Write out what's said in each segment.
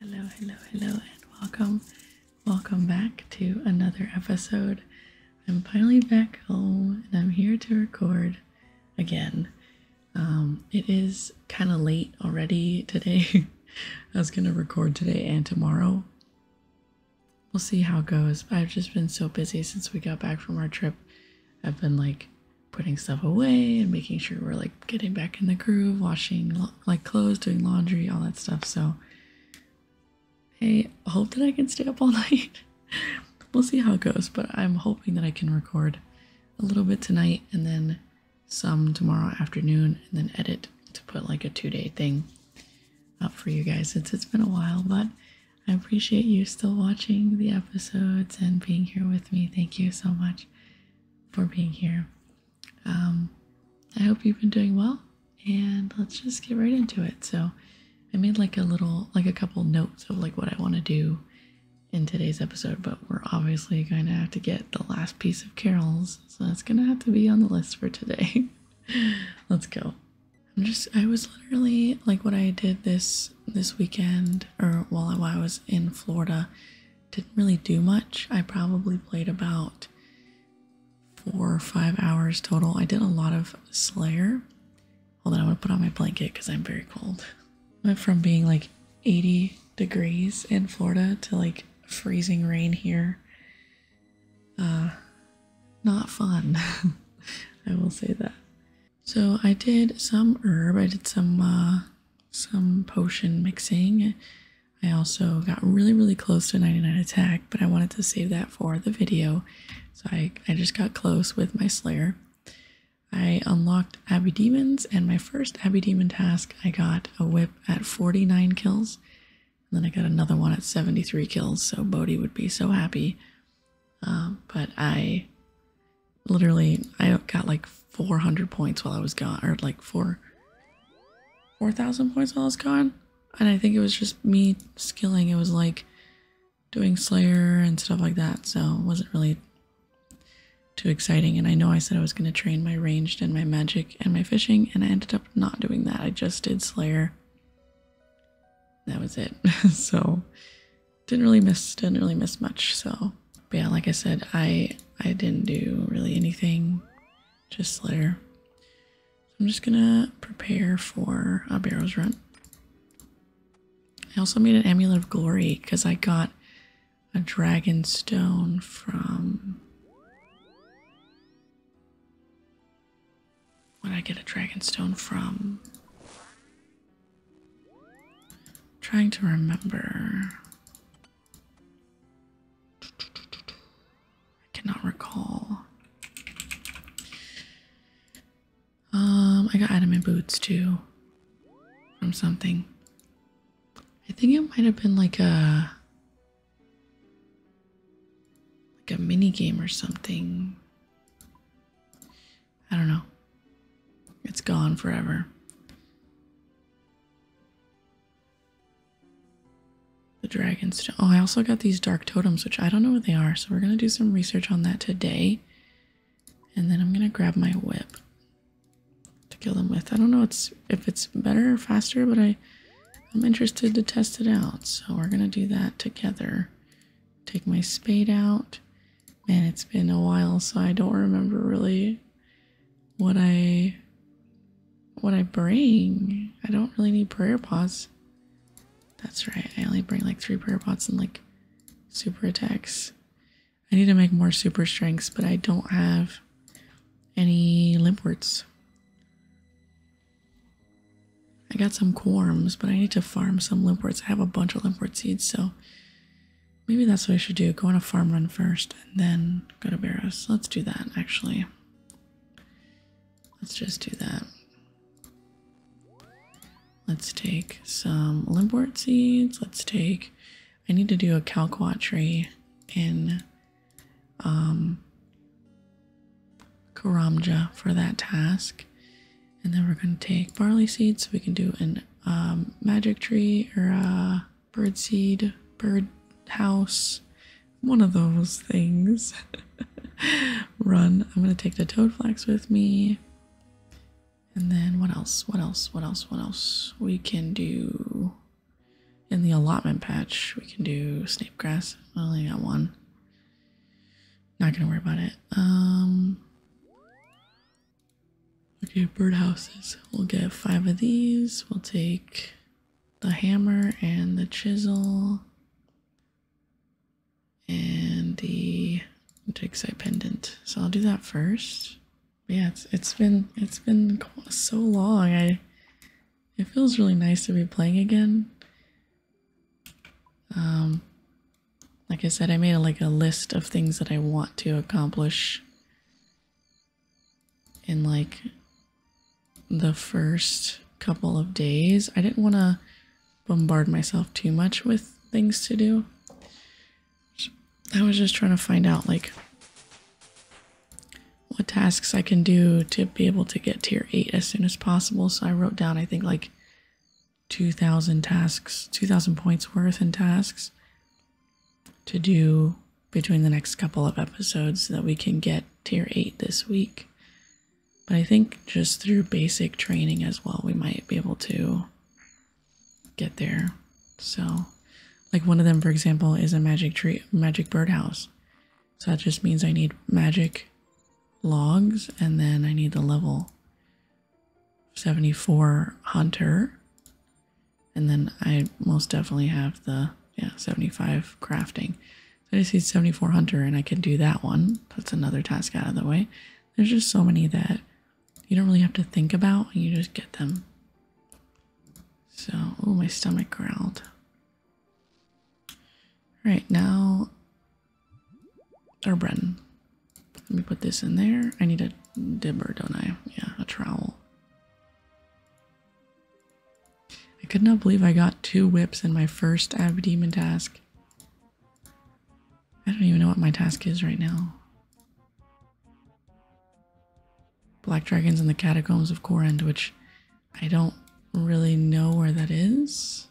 Hello, hello, hello, and welcome. Welcome back to another episode. I'm finally back home and I'm here to record again. Um, it is kind of late already today. I was going to record today and tomorrow. We'll see how it goes. I've just been so busy since we got back from our trip. I've been like putting stuff away and making sure we're like getting back in the groove, washing like clothes, doing laundry, all that stuff. So I hope that I can stay up all night. we'll see how it goes, but I'm hoping that I can record a little bit tonight and then some tomorrow afternoon and then edit to put like a two day thing up for you guys since it's been a while. But I appreciate you still watching the episodes and being here with me. Thank you so much for being here um, I hope you've been doing well, and let's just get right into it. So, I made like a little, like a couple notes of like what I want to do in today's episode, but we're obviously going to have to get the last piece of carols, so that's going to have to be on the list for today. let's go. I'm just, I was literally like what I did this this weekend, or while while I was in Florida didn't really do much. I probably played about four or five hours total. I did a lot of Slayer. Hold on, I'm gonna put on my blanket because I'm very cold. Went from being like 80 degrees in Florida to like freezing rain here. Uh, not fun. I will say that. So I did some herb. I did some uh, some potion mixing. I also got really, really close to 99 attack, but I wanted to save that for the video. So I, I just got close with my Slayer. I unlocked Abbey Demons, and my first Abbey Demon task, I got a whip at 49 kills. And then I got another one at 73 kills, so Bodhi would be so happy. Uh, but I literally, I got like 400 points while I was gone, or like four, 4,000 points while I was gone. And I think it was just me skilling. It was like doing Slayer and stuff like that. So it wasn't really too exciting. And I know I said I was going to train my ranged and my magic and my fishing. And I ended up not doing that. I just did Slayer. That was it. so didn't really miss, didn't really miss much. So, but yeah, like I said, I, I didn't do really anything just let I'm just gonna prepare for a barrow's run. I also made an amulet of glory because I got a dragon stone from. When I get a dragon stone from. trying to remember. I cannot recall. Um, I got adamant boots too from something. I think it might have been like a like a mini game or something. I don't know. It's gone forever. The dragons stone. Oh, I also got these dark totems, which I don't know what they are, so we're gonna do some research on that today. And then I'm gonna grab my whip to kill them with. I don't know if it's better or faster, but I, I'm interested to test it out. So we're gonna do that together. Take my spade out. Man, it's been a while, so I don't remember really what I what I bring. I don't really need prayer pots. That's right. I only bring like three prayer pots and like super attacks. I need to make more super strengths, but I don't have any limp words. I got some quorms, but I need to farm some limp words. I have a bunch of limp word seeds, so maybe that's what I should do. Go on a farm run first and then Go to Baros. Let's do that, actually. Let's just do that. Let's take some limbwort seeds. Let's take... I need to do a calquat tree in um, Karamja for that task. And then we're going to take barley seeds so we can do an um, magic tree or a birdseed, bird house, one of those things. Run. I'm gonna take the toad flax with me. And then what else? What else? What else? What else? We can do in the allotment patch, we can do snape grass. I only got one. Not gonna worry about it. Um Okay, birdhouses. We'll get five of these. We'll take the hammer and the chisel and the jigsaw pendant. So I'll do that first. But yeah, it's it's been it's been so long. I it feels really nice to be playing again. Um, like I said, I made a, like a list of things that I want to accomplish in like the first couple of days. I didn't want to bombard myself too much with things to do. I was just trying to find out like what tasks I can do to be able to get tier 8 as soon as possible. So I wrote down I think like 2,000 tasks, 2,000 points worth in tasks to do between the next couple of episodes that we can get tier 8 this week. But I think just through basic training as well, we might be able to get there. So, like one of them, for example, is a magic tree, magic birdhouse. So that just means I need magic logs and then I need the level 74 hunter and then I most definitely have the yeah 75 crafting. I just need 74 hunter and I can do that one. That's another task out of the way. There's just so many that you don't really have to think about and you just get them. So oh my stomach growled. All right now or Brenton. Let me put this in there. I need a dibber, don't I? Yeah, a trowel. I could not believe I got two whips in my first Ab task. I don't even know what my task is right now. Black Dragons in the Catacombs of Corend, which I don't really know where that is.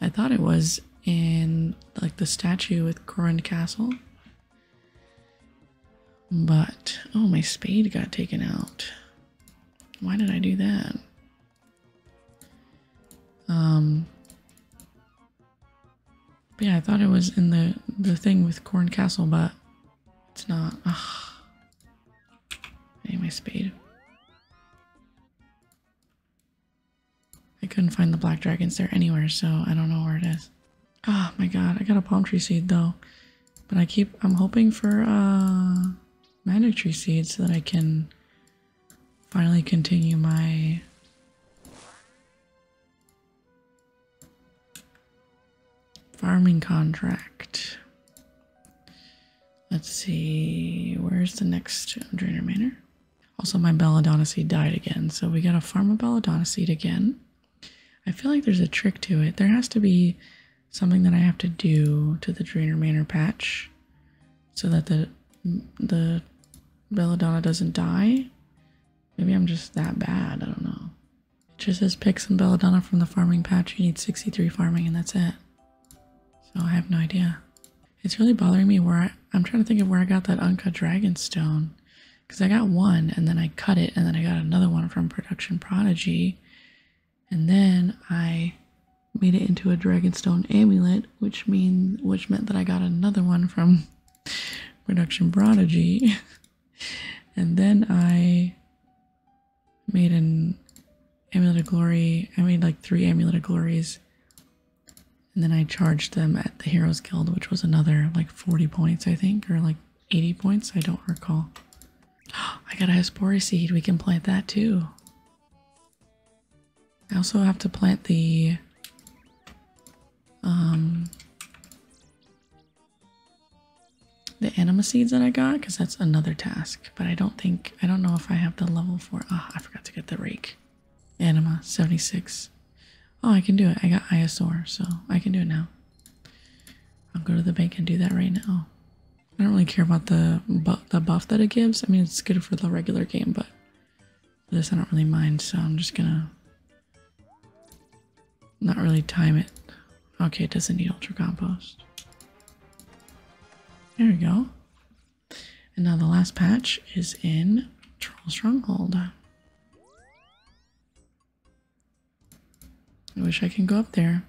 I thought it was in like the statue with Corend Castle. But, oh, my spade got taken out. Why did I do that? Um, yeah, I thought it was in the, the thing with Corn Castle, but it's not. Ugh. I my spade. I couldn't find the black dragons there anywhere, so I don't know where it is. Oh my god, I got a palm tree seed though. But I keep, I'm hoping for uh, magic tree seed so that I can finally continue my farming contract. Let's see, where's the next drainer manor? Also, my belladonna seed died again, so we gotta farm a belladonna seed again. I feel like there's a trick to it. There has to be something that I have to do to the Drainer Manor patch so that the the Belladonna doesn't die. Maybe I'm just that bad. I don't know. It just says pick some Belladonna from the farming patch. You need 63 farming and that's it. So I have no idea. It's really bothering me where I, I'm trying to think of where I got that uncut dragon stone because I got one and then I cut it and then I got another one from Production Prodigy and then I made it into a Dragonstone amulet which mean which meant that I got another one from Production Prodigy and then I made an amulet of glory I made like three amulet of glories and then I charged them at the Heroes Guild, which was another like 40 points, I think, or like 80 points? I don't recall. I got to have spore seed. We can plant that too. I also have to plant the um the anima seeds that I got because that's another task. But I don't think I don't know if I have the level for ah, I forgot to get the rake. Anima 76. Oh I can do it. I got Iosaur, so I can do it now. I'll go to the bank and do that right now. I don't really care about the the buff that it gives. I mean, it's good for the regular game, but this I don't really mind. So I'm just gonna not really time it. Okay, it doesn't need ultra compost. There we go. And now the last patch is in Troll Stronghold. I wish I can go up there.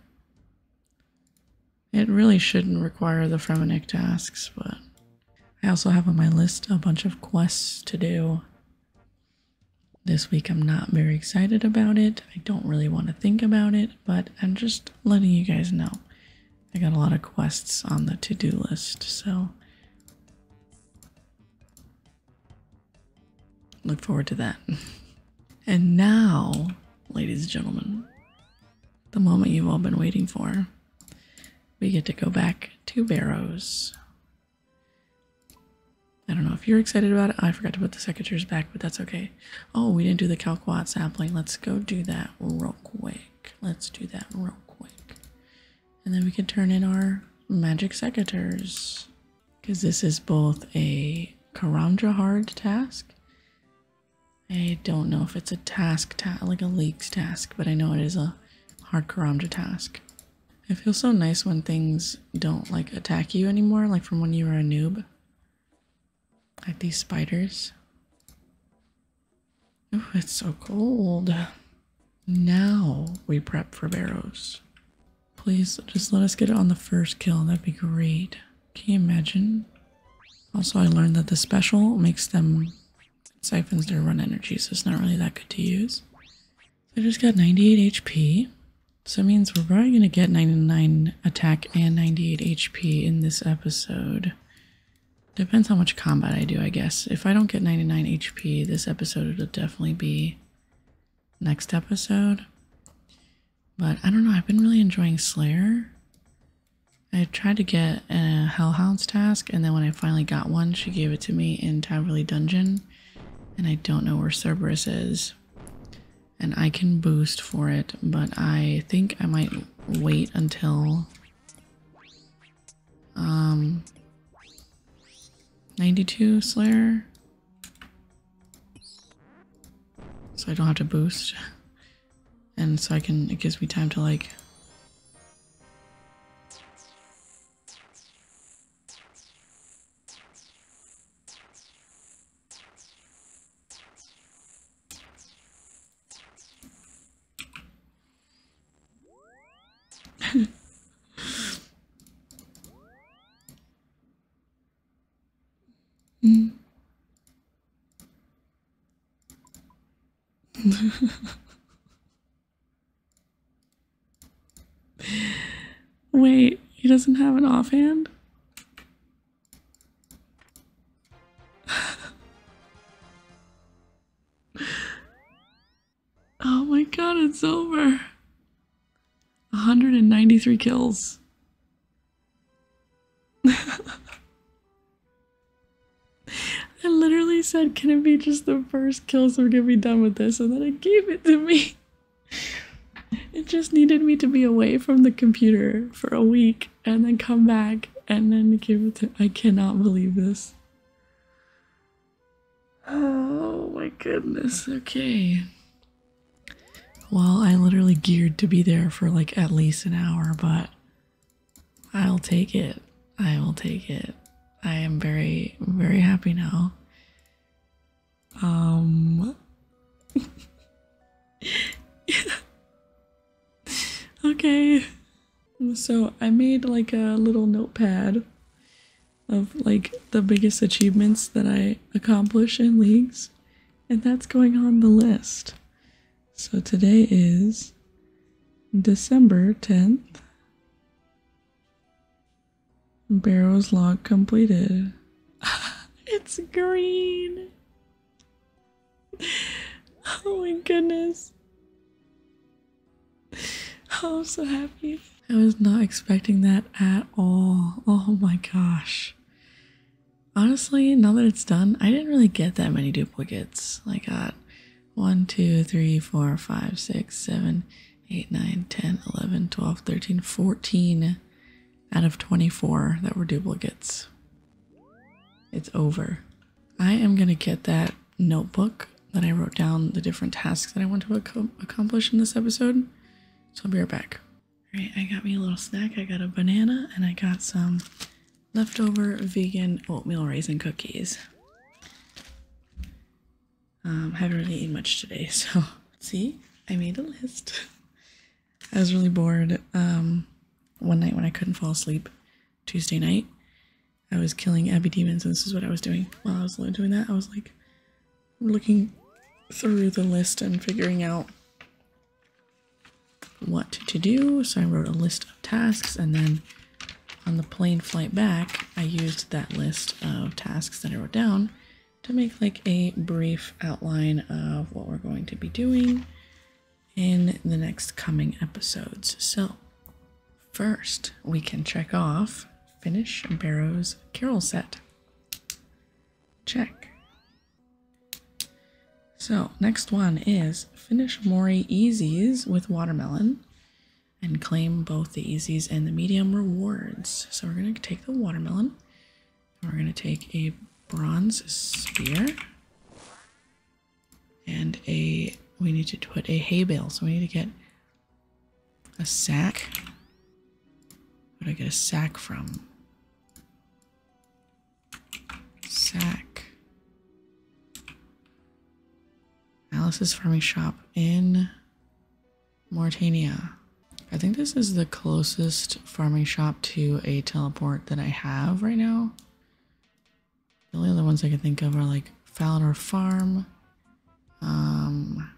It really shouldn't require the Fremenik tasks, but I also have on my list a bunch of quests to do. This week I'm not very excited about it. I don't really want to think about it, but I'm just letting you guys know. I got a lot of quests on the to-do list, so Look forward to that. and now, ladies and gentlemen, the moment you've all been waiting for, we get to go back to Barrows. I don't know if you're excited about it. I forgot to put the secateurs back, but that's okay. Oh, we didn't do the Calquat sampling. Let's go do that real quick. Let's do that real quick. And then we can turn in our magic secateurs because this is both a Karamja hard task. I don't know if it's a task, like a leaks task, but I know it is a hard Karamja task. It feels so nice when things don't like attack you anymore, like from when you were a noob. Like these spiders. Oh, it's so cold. Now we prep for barrows. Please just let us get it on the first kill. That'd be great. Can you imagine? Also, I learned that the special makes them siphons their run energy, so it's not really that good to use. I just got 98 HP. So it means we're probably going to get 99 attack and 98 HP in this episode. Depends how much combat I do, I guess. If I don't get 99 HP, this episode it will definitely be next episode. But I don't know, I've been really enjoying Slayer. I tried to get a Hellhound's task, and then when I finally got one, she gave it to me in Taverly Dungeon. And I don't know where Cerberus is. And I can boost for it, but I think I might wait until um 92 Slayer so I don't have to boost. And so I can, it gives me time to like Mm. Wait, he doesn't have an offhand? oh my god, it's over. 193 kills. I literally said, can it be just the first kill so we can be done with this? And then it gave it to me. it just needed me to be away from the computer for a week and then come back and then give it to I cannot believe this. Oh my goodness. Okay. Well, I literally geared to be there for like at least an hour, but I'll take it. I will take it. I am very, very happy now. Um. okay. So I made like a little notepad of like the biggest achievements that I accomplish in leagues, and that's going on the list. So today is December 10th. Barrows log completed. it's green. Oh my goodness. I'm so happy. I was not expecting that at all. Oh my gosh. Honestly, now that it's done, I didn't really get that many duplicates. I got one, two, three, four, five, six, seven, eight, nine, ten, eleven, twelve, thirteen, fourteen out of 24 that were duplicates. It's over. I am going to get that notebook that I wrote down the different tasks that I want to accomplish in this episode. So I'll be right back. Alright, I got me a little snack. I got a banana and I got some leftover vegan oatmeal raisin cookies. Um, haven't really eaten much today, so see, I made a list. I was really bored um, one night when I couldn't fall asleep, Tuesday night. I was killing Abby demons, and this is what I was doing while I was doing that. I was like, looking through the list and figuring out what to do. So I wrote a list of tasks and then on the plane flight back, I used that list of tasks that I wrote down to make like a brief outline of what we're going to be doing in the next coming episodes. So first we can check off finish Barrow's Carol set. Check. So, next one is finish Mori Easies with watermelon and claim both the easies and the medium rewards. So, we're going to take the watermelon. We're going to take a bronze spear and a we need to put a hay bale. So, we need to get a sack Where'd I get a sack from? Sack. Alice's farming shop in Mauritania. I think this is the closest farming shop to a teleport that I have right now. The only other ones I can think of are like Falinor Farm, um,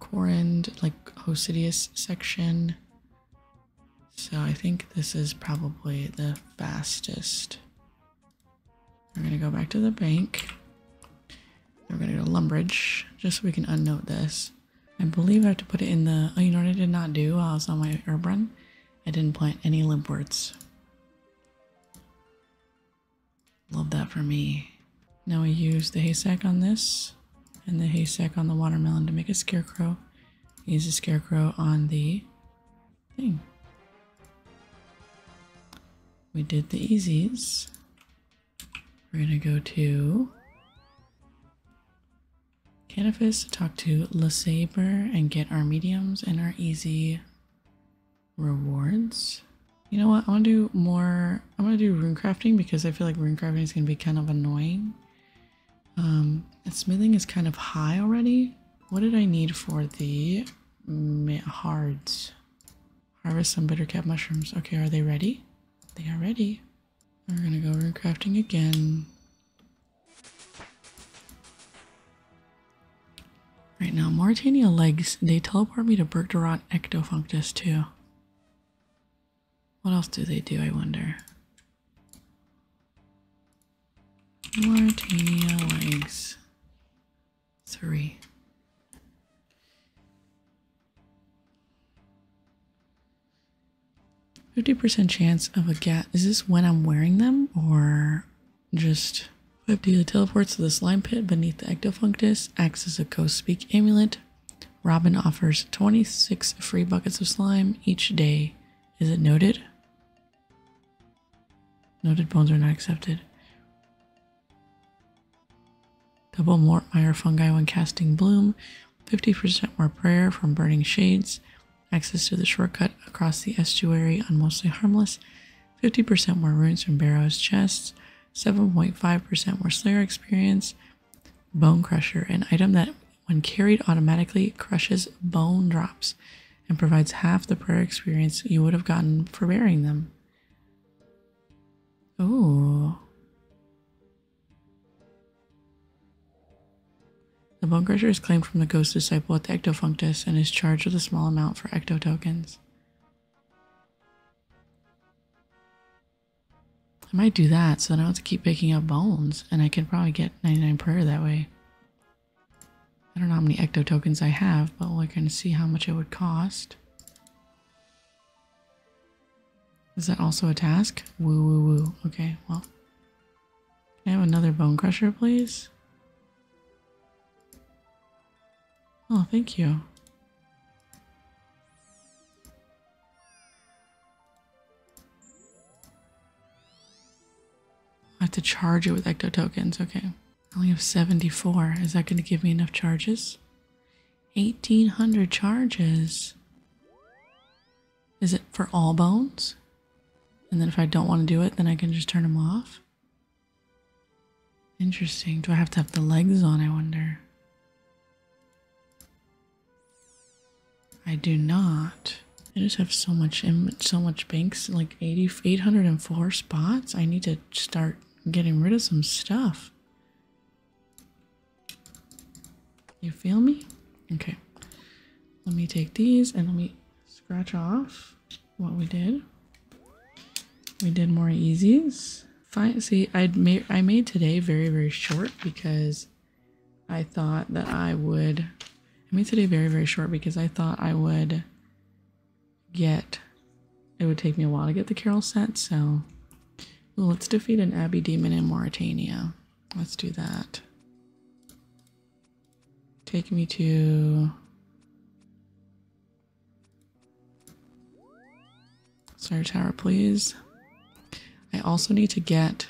Corend, like Hosidius section. So I think this is probably the fastest. We're gonna go back to the bank. We're gonna go to Lumbridge, just so we can unnote this. I believe I have to put it in the, oh, you know what I did not do while I was on my herb run? I didn't plant any limp words. Love that for me. Now we use the haystack on this and the haystack on the watermelon to make a scarecrow. Use the scarecrow on the thing. We did the easies. We're gonna go to Canifus to talk to LeSabre and get our mediums and our easy rewards. You know what? I want to do more I'm going to do rune crafting because I feel like rune crafting is going to be kind of annoying. Um, and smithing is kind of high already. What did I need for the hard? Harvest some bittercap mushrooms. Okay, are they ready? They are ready. We're gonna go rune crafting again. Right now, Mauritania legs, they teleport me to Bergdorot Ectofunctus too. What else do they do, I wonder? Mauritania legs. Three. Fifty percent chance of a gat. Is this when I'm wearing them, or just fifty? daily teleports to the slime pit beneath the ectofunctus? Acts as a ghost amulet. Robin offers 26 free buckets of slime each day. Is it noted? Noted bones are not accepted. Double Mortmeyer fungi when casting bloom, 50% more prayer from burning shades, access to the shortcut across the estuary on mostly harmless, 50% more runes from Barrow's chests, 7.5% more Slayer experience, Bone Crusher, an item that, when carried, automatically crushes bone drops and provides half the prayer experience you would have gotten for wearing them. Ooh. The Bone Crusher is claimed from the Ghost Disciple at the Ectofunctus and is charged with a small amount for Ecto tokens. I might do that so then I do have to keep picking up bones and I can probably get 99 prayer that way. I don't know how many ecto tokens I have, but we're going to see how much it would cost. Is that also a task? Woo woo woo. Okay, well. I have another bone crusher, please? Oh, thank you. I have to charge it with ecto tokens. Okay. I only have 74. Is that going to give me enough charges? 1800 charges. Is it for all bones? And then if I don't want to do it, then I can just turn them off? Interesting. Do I have to have the legs on, I wonder? I do not. I just have so much so much banks, like 80, 804 spots. I need to start getting rid of some stuff. You feel me? Okay. Let me take these and let me scratch off what we did. We did more easies fine. See, i made I made today very very short because I thought that I would. I made today very very short because I thought I would get. It would take me a while to get the Carol set, so well, let's defeat an Abbey demon in Mauritania. Let's do that. Take me to Star Tower, please. I also need to get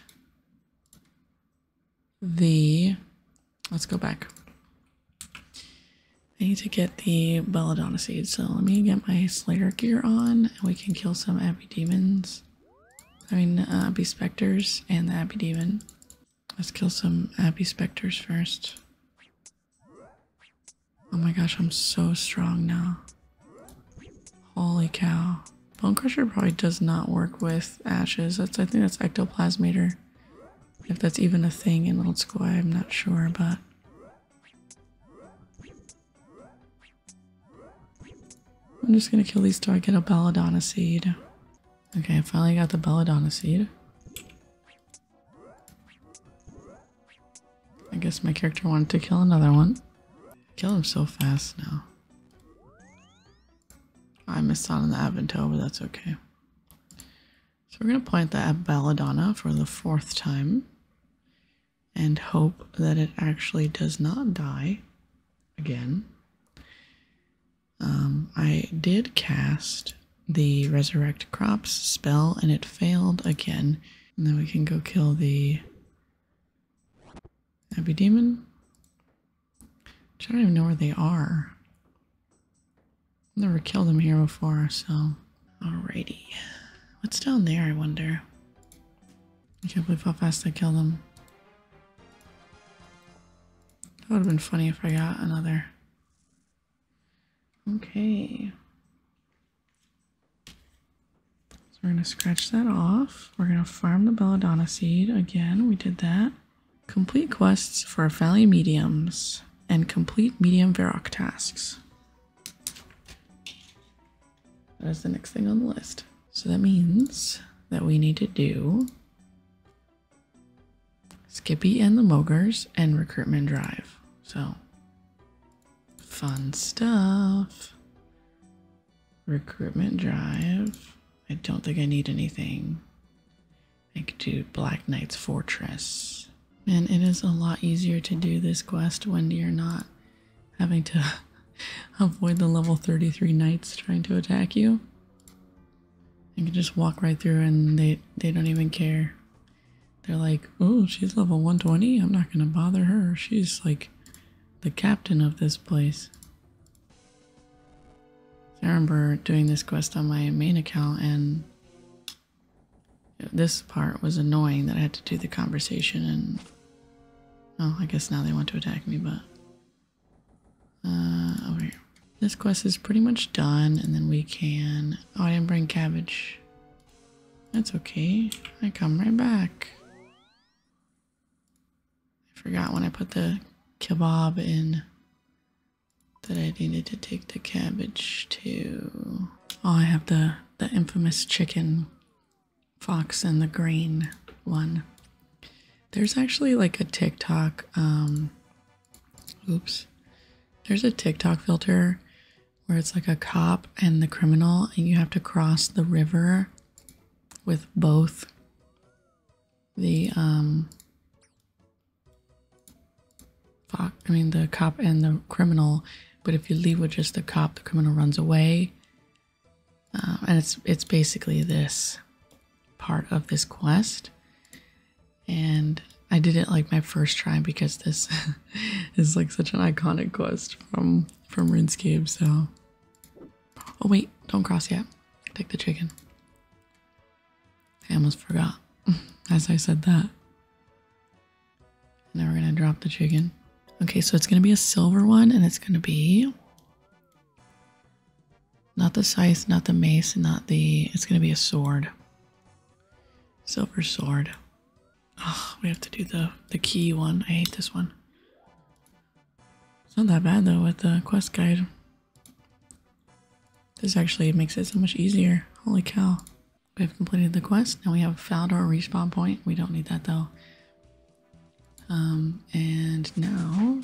the. Let's go back. I need to get the Belladonna seed, so let me get my Slayer gear on, and we can kill some Abbey Demons. I mean, uh, Abbey Spectres and the Abbey Demon. Let's kill some Abbey Spectres first. Oh my gosh, I'm so strong now. Holy cow. Bone Crusher probably does not work with ashes. That's I think that's Ectoplasmator. If that's even a thing in old school, I'm not sure, but I'm just gonna kill these till I get a belladonna seed. Okay, I finally got the belladonna seed. I guess my character wanted to kill another one. Kill him so fast now. Oh, I missed on the Avento, but that's okay. So we're going to plant the Belladonna for the fourth time and hope that it actually does not die again. Um, I did cast the Resurrect Crops spell and it failed again. And then we can go kill the Abby Demon. I don't even know where they are. Never killed them here before, so. Alrighty. What's down there, I wonder? I can't believe how fast I killed them. That would have been funny if I got another. Okay. So we're going to scratch that off. We're going to farm the belladonna seed. Again, we did that. Complete quests for valley mediums and complete medium Varrock tasks. That is the next thing on the list. So that means that we need to do Skippy and the Mogers and Recruitment Drive. So fun stuff recruitment drive. I don't think I need anything. I could do Black Knight's Fortress. And it is a lot easier to do this quest when you're not having to avoid the level 33 knights trying to attack you. You can just walk right through and they, they don't even care. They're like, oh, she's level 120. I'm not going to bother her. She's like the captain of this place. I remember doing this quest on my main account and this part was annoying that I had to do the conversation and oh I guess now they want to attack me but uh over here. This quest is pretty much done and then we can oh I didn't bring cabbage. That's okay. I come right back. I forgot when I put the kebab in that I needed to take the cabbage to. Oh, I have the, the infamous chicken fox and the green one. There's actually like a TikTok, um, oops. There's a TikTok filter where it's like a cop and the criminal and you have to cross the river with both the um I mean the cop and the criminal, but if you leave with just the cop, the criminal runs away. Uh, and it's it's basically this part of this quest. And I did it like my first try because this is like such an iconic quest from from RuneScape, so Oh wait, don't cross yet. Take the chicken. I almost forgot as I said that. Now we're gonna drop the chicken. Okay, so it's gonna be a silver one and it's gonna be not the scythe, not the mace, not the it's gonna be a sword. Silver sword we have to do the the key one. I hate this one. It's not that bad though with the quest guide. This actually makes it so much easier. Holy cow. We've completed the quest. Now we have found our respawn point. We don't need that though. Um, and now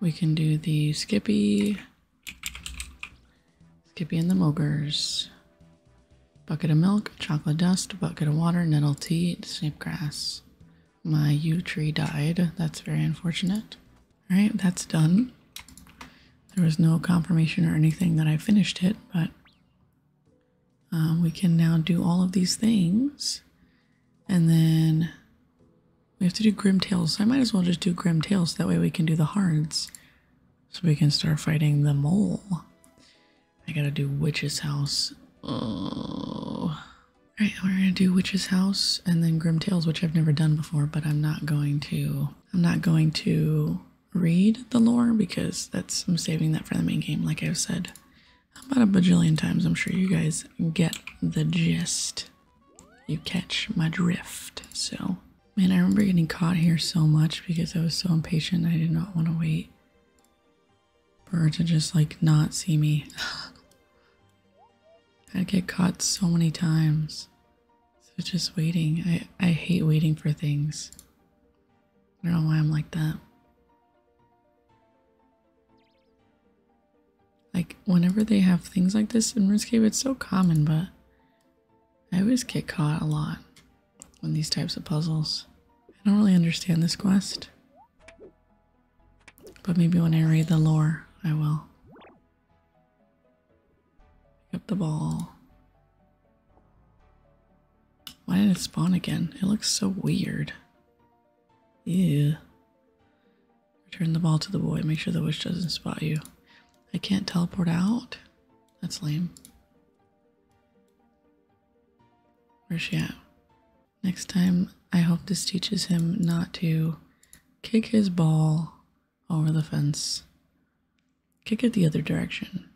we can do the Skippy, Skippy and the Mogers. Bucket of milk, chocolate dust, bucket of water, nettle tea, snip grass. My yew tree died. That's very unfortunate. Alright, that's done. There was no confirmation or anything that I finished it, but um, we can now do all of these things. And then we have to do Grim Tales. I might as well just do Grim Tales. That way we can do the hards. So we can start fighting the mole. I gotta do Witch's House. Alright, we're gonna do Witch's House and then Grim Tales, which I've never done before, but I'm not going to I'm not going to read the lore because that's I'm saving that for the main game, like I've said about a bajillion times. I'm sure you guys get the gist. You catch my drift. So man, I remember getting caught here so much because I was so impatient I did not want to wait for her to just like not see me. I get caught so many times. So just waiting. I, I hate waiting for things. I don't know why I'm like that. Like whenever they have things like this in RuneScape, it's so common, but I always get caught a lot on these types of puzzles. I don't really understand this quest. But maybe when I read the lore, I will. Pick up the ball. Why did it spawn again? It looks so weird. Yeah. Return the ball to the boy. Make sure the witch doesn't spot you. I can't teleport out? That's lame. Where's she at? Next time, I hope this teaches him not to kick his ball over the fence. Kick it the other direction.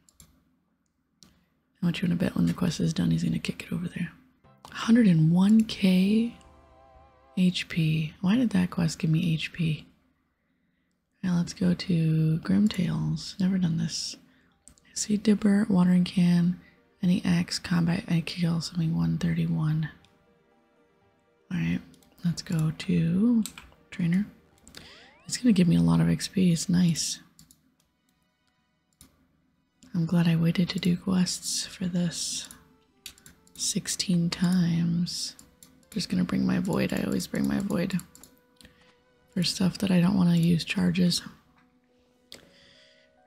I want you to bet when the quest is done, he's going to kick it over there. 101k HP. Why did that quest give me HP? Now let's go to Grim Tales. Never done this. I see Dipper, Watering Can, any axe, combat, I kill something 131. Alright, let's go to Trainer. It's gonna give me a lot of XP, it's nice. I'm glad I waited to do quests for this 16 times. just gonna bring my void, I always bring my void for stuff that I don't want to use charges.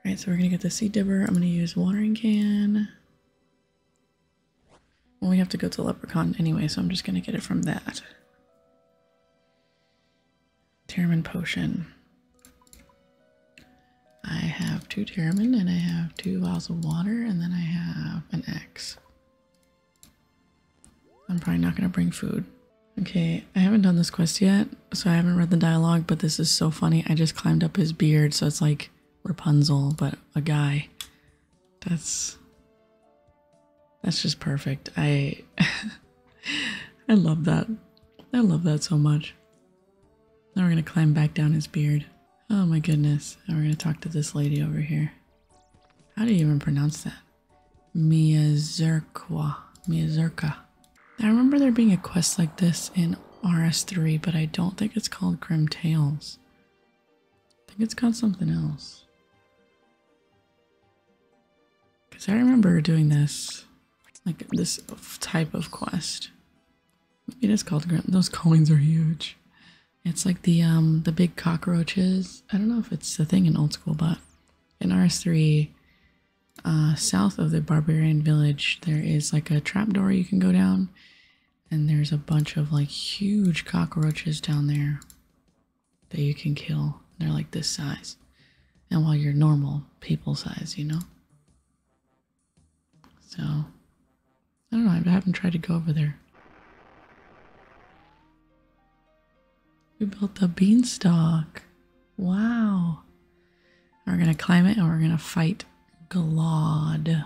Alright, so we're going to get the seed dibber. I'm going to use watering can. Well, we have to go to leprechaun anyway, so I'm just going to get it from that. Teramin potion. I have two Teramin and I have two vials of water and then I have an axe. I'm probably not going to bring food. Okay, I haven't done this quest yet, so I haven't read the dialogue, but this is so funny. I just climbed up his beard, so it's like Rapunzel, but a guy. That's that's just perfect. I I love that. I love that so much. Now we're gonna climb back down his beard. Oh my goodness. Now we're gonna talk to this lady over here. How do you even pronounce that? Miyazurkwa. Miyazurka. I remember there being a quest like this in RS3, but I don't think it's called Grim Tales. I think it's called something else. Because I remember doing this, like this type of quest. It is called Grim. Those coins are huge. It's like the um the big cockroaches. I don't know if it's the thing in old school, but in rs3 uh, south of the barbarian village there is like a trapdoor you can go down and there's a bunch of like huge cockroaches down there that you can kill they're like this size and while you're normal people size you know so i don't know i haven't tried to go over there we built the beanstalk. Wow. We're going to climb it and we're going to fight Galad.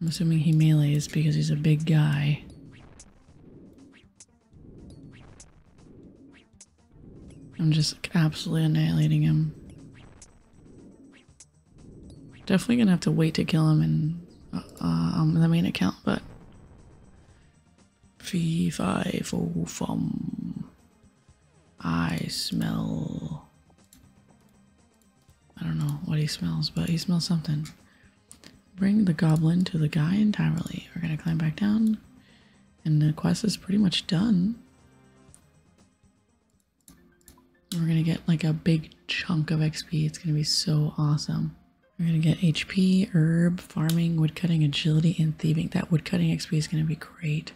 I'm assuming he melees because he's a big guy. I'm just absolutely annihilating him. Definitely gonna have to wait to kill him in uh, uh, um, the main account, but revival oh, from I smell I don't know what he smells, but he smells something. Bring the goblin to the guy entirely. We're gonna climb back down. And the quest is pretty much done. We're gonna get like a big chunk of XP. It's gonna be so awesome. We're gonna get HP, herb, farming, woodcutting, agility, and thieving. That woodcutting XP is gonna be great.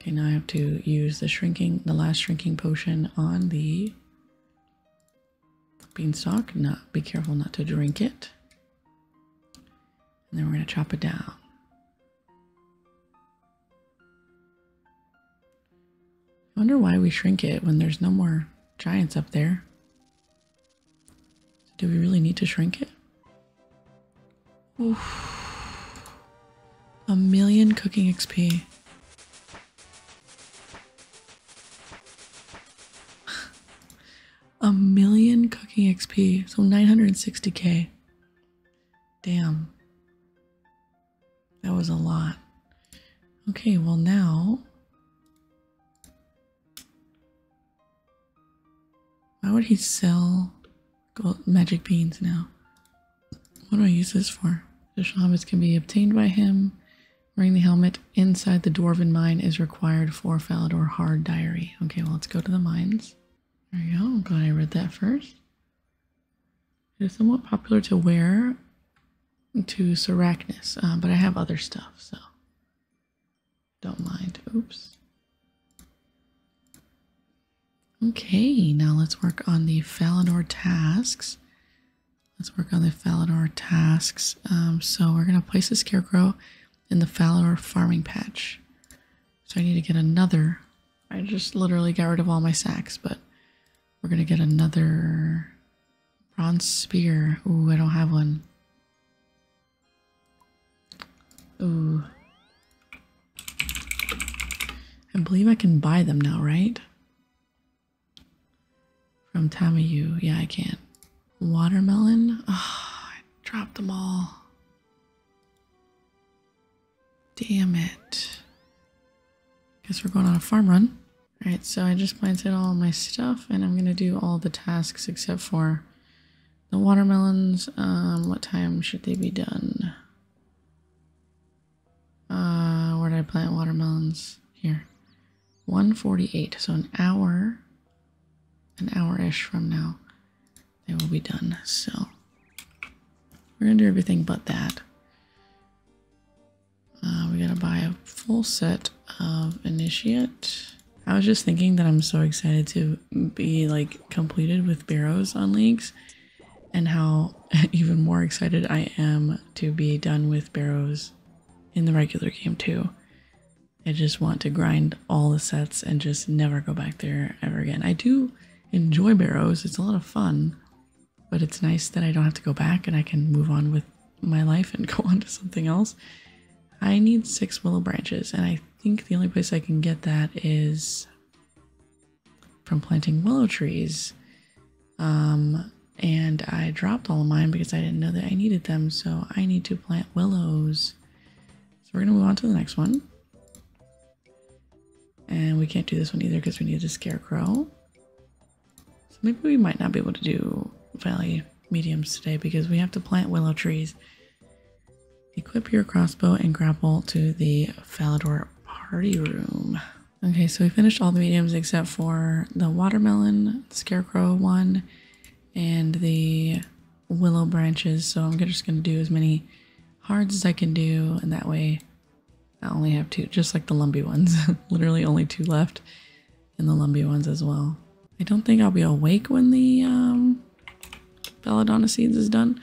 Okay, now I have to use the shrinking, the last shrinking potion on the beanstalk. Not be careful not to drink it. And then we're gonna chop it down. wonder why we shrink it when there's no more giants up there. So do we really need to shrink it? Oof. A million cooking XP. A million cooking XP. So 960k. Damn. That was a lot. Okay, well now why would he sell magic beans now? What do I use this for? Additional habits can be obtained by him. Wearing the helmet inside the dwarven mine is required for Falador Hard Diary. Okay, well, let's go to the mines. There you go. i glad I read that first. It is somewhat popular to wear to Seracnus, uh, but I have other stuff, so don't mind. Oops. Okay, now let's work on the Falador tasks. Let's work on the Falador tasks. Um, so we're going to place the Scarecrow in the Falador farming patch. So I need to get another. I just literally got rid of all my sacks, but we're going to get another Bronze spear. Ooh, I don't have one. Ooh. I believe I can buy them now, right? From Tamayu. Yeah, I can. Watermelon. Oh, I dropped them all. Damn it. Guess we're going on a farm run. Alright, so I just planted all my stuff and I'm gonna do all the tasks except for the watermelons. Um, what time should they be done? Uh, where did I plant watermelons? Here. 148, so an hour, an hour-ish from now, they will be done. So we're gonna do everything but that. Uh, we gotta buy a full set of initiate. I was just thinking that I'm so excited to be like completed with Barrows on leagues and how even more excited I am to be done with Barrows in the regular game too. I just want to grind all the sets and just never go back there ever again. I do enjoy Barrows, it's a lot of fun, but it's nice that I don't have to go back and I can move on with my life and go on to something else. I need six willow branches, and I think the only place I can get that is from planting willow trees. Um, and I dropped all of mine because I didn't know that I needed them, so I need to plant willows. So we're gonna move on to the next one. And we can't do this one either because we need a scarecrow. So maybe we might not be able to do valley mediums today because we have to plant willow trees. Equip your crossbow and grapple to the Falador party room. Okay, so we finished all the mediums except for the watermelon, scarecrow one, and the willow branches. So I'm just going to do as many hards as I can do, and that way I only have two, just like the lumpy ones. Literally only two left and the lumpy ones as well. I don't think I'll be awake when the um, belladonna seeds is done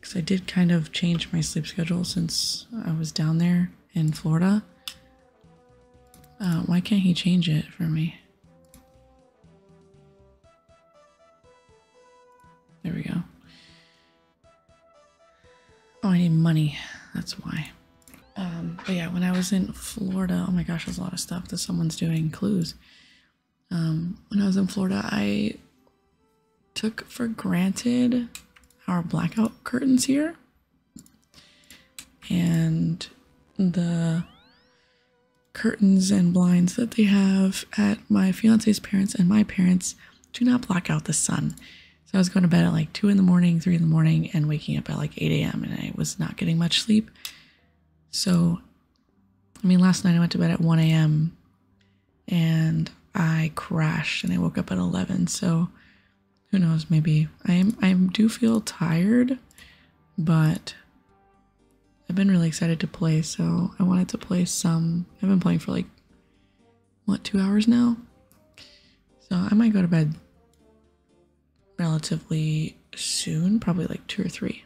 because I did kind of change my sleep schedule since I was down there in Florida. Uh, why can't he change it for me? There we go. Oh, I need money. That's why. Um, but yeah, when I was in Florida, oh my gosh, there's a lot of stuff that someone's doing clues. Um, when I was in Florida, I took for granted our blackout curtains here and the curtains and blinds that they have at my fiance's parents and my parents do not block out the sun. So I was going to bed at like 2 in the morning, 3 in the morning, and waking up at like 8 a.m. and I was not getting much sleep. So, I mean, last night I went to bed at 1 a.m. and I crashed and I woke up at 11. So, who knows? Maybe I am. I do feel tired, but I've been really excited to play. So I wanted to play some. I've been playing for like what two hours now. So I might go to bed relatively soon, probably like two or three.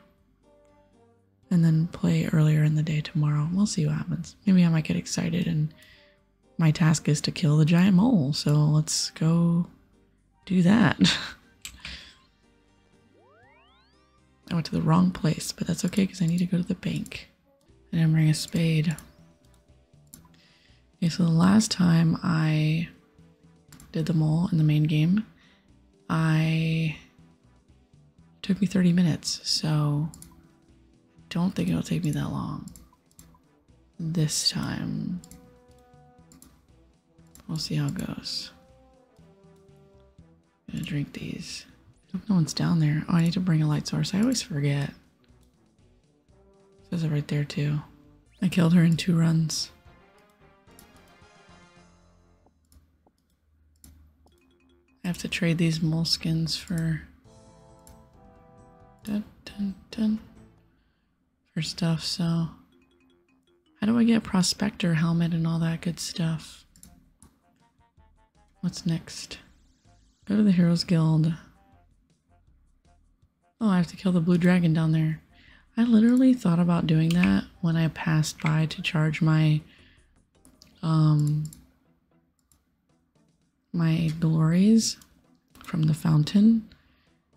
And then play earlier in the day tomorrow. We'll see what happens. Maybe I might get excited and my task is to kill the giant mole, so let's go do that. I went to the wrong place, but that's okay because I need to go to the bank. And I'm bringing a spade. Okay, so the last time I did the mole in the main game. I took me 30 minutes, so don't think it'll take me that long this time. We'll see how it goes. I'm gonna drink these. no one's down there. Oh, I need to bring a light source. I always forget. It says it right there too. I killed her in two runs. I have to trade these moleskins for dun, dun, for stuff, so how do I get prospector helmet and all that good stuff? What's next? Go to the Heroes Guild. Oh, I have to kill the blue dragon down there. I literally thought about doing that when I passed by to charge my um my glories from the fountain.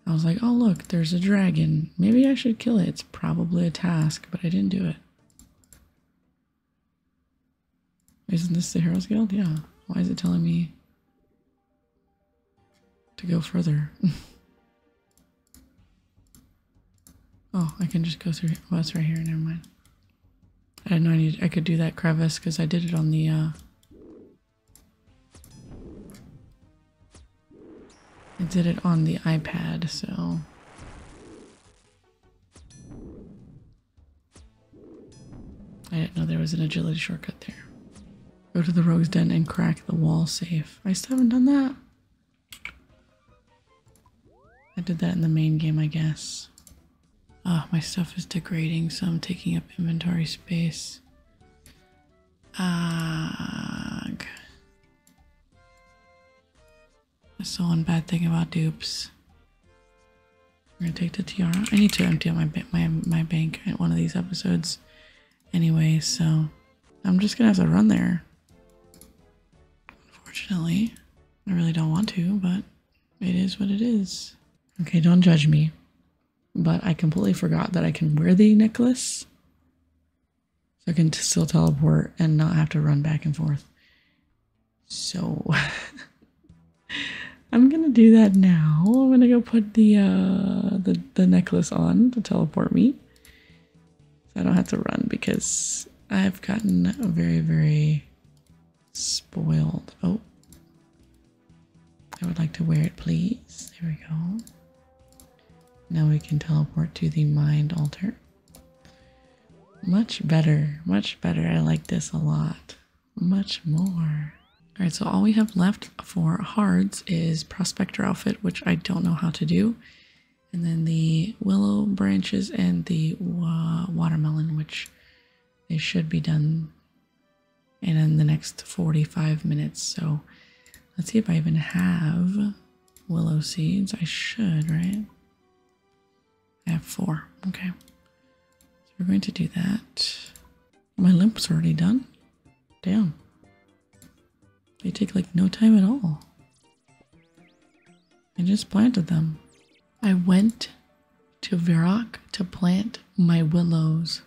I was like, oh look, there's a dragon. Maybe I should kill it. It's probably a task, but I didn't do it. Isn't this the Heroes Guild? Yeah. Why is it telling me to go further. oh, I can just go through. Well, right here. Never mind. I didn't know I I could do that crevice because I did it on the. Uh, I did it on the iPad, so. I didn't know there was an agility shortcut there. Go to the rogue's den and crack the wall safe. I still haven't done that. I did that in the main game, I guess. Oh, my stuff is degrading, so I'm taking up inventory space. Ugh. That's the one bad thing about dupes. I'm gonna take the tiara. I need to empty out my my my bank at one of these episodes anyway, so I'm just gonna have to run there. Unfortunately, I really don't want to, but it is what it is. Okay, don't judge me, but I completely forgot that I can wear the necklace. So I can still teleport and not have to run back and forth. So I'm gonna do that now. I'm gonna go put the uh, the necklace on to teleport me. I don't have to run because I have gotten very, very spoiled. Oh. I would like to wear it, please. There we go. Now we can teleport to the mind altar. Much better. Much better. I like this a lot. Much more. Alright, so all we have left for hards is Prospector Outfit, which I don't know how to do. And then the Willow Branches and the Watermelon, which they should be done in the next 45 minutes. So let's see if I even have willow seeds. I should, right? I have four. Okay. So we're going to do that. My limp's already done. Damn. They take like no time at all. I just planted them. I went to Verac to plant my willows.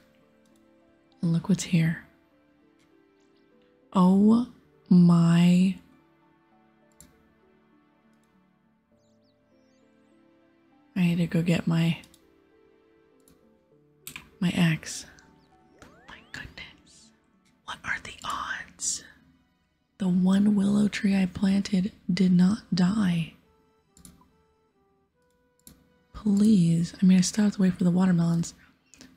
And look what's here. Oh my. I need to go get my my ex. My goodness. What are the odds? The one willow tree I planted did not die. Please. I mean, I still have to wait for the watermelons,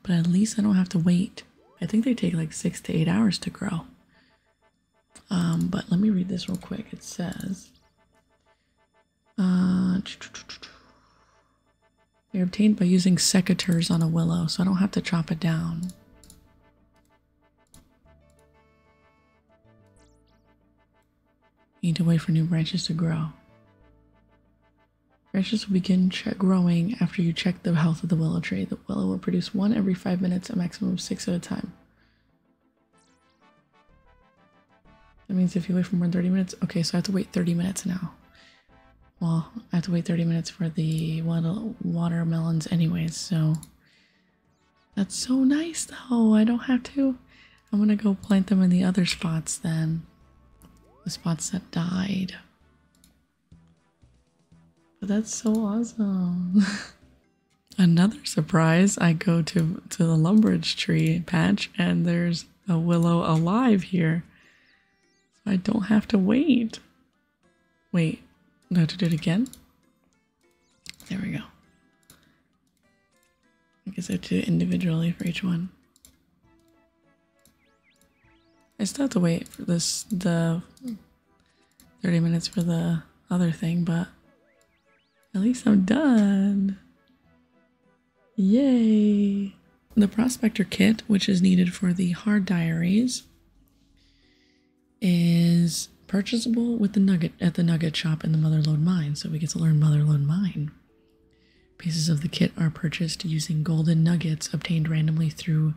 but at least I don't have to wait. I think they take like six to eight hours to grow. Um, but let me read this real quick. It says, uh, they're obtained by using secateurs on a willow, so I don't have to chop it down. Need to wait for new branches to grow. Branches will begin growing after you check the health of the willow tree. The willow will produce one every five minutes, a maximum of six at a time. That means if you wait for more than 30 minutes, okay, so I have to wait 30 minutes now. Well, I have to wait 30 minutes for the watermelons anyways, so that's so nice though. I don't have to. I'm gonna go plant them in the other spots then. The spots that died. But that's so awesome. Another surprise, I go to to the lumbridge tree patch and there's a willow alive here. I don't have to wait. Wait, now to do it again? There we go. I guess I do it individually for each one. I still have to wait for this, the 30 minutes for the other thing, but at least I'm done. Yay! The prospector kit, which is needed for the hard diaries, is purchasable with the nugget at the nugget shop in the Motherlode Mine, so we get to learn Motherlode Mine. Pieces of the kit are purchased using golden nuggets obtained randomly through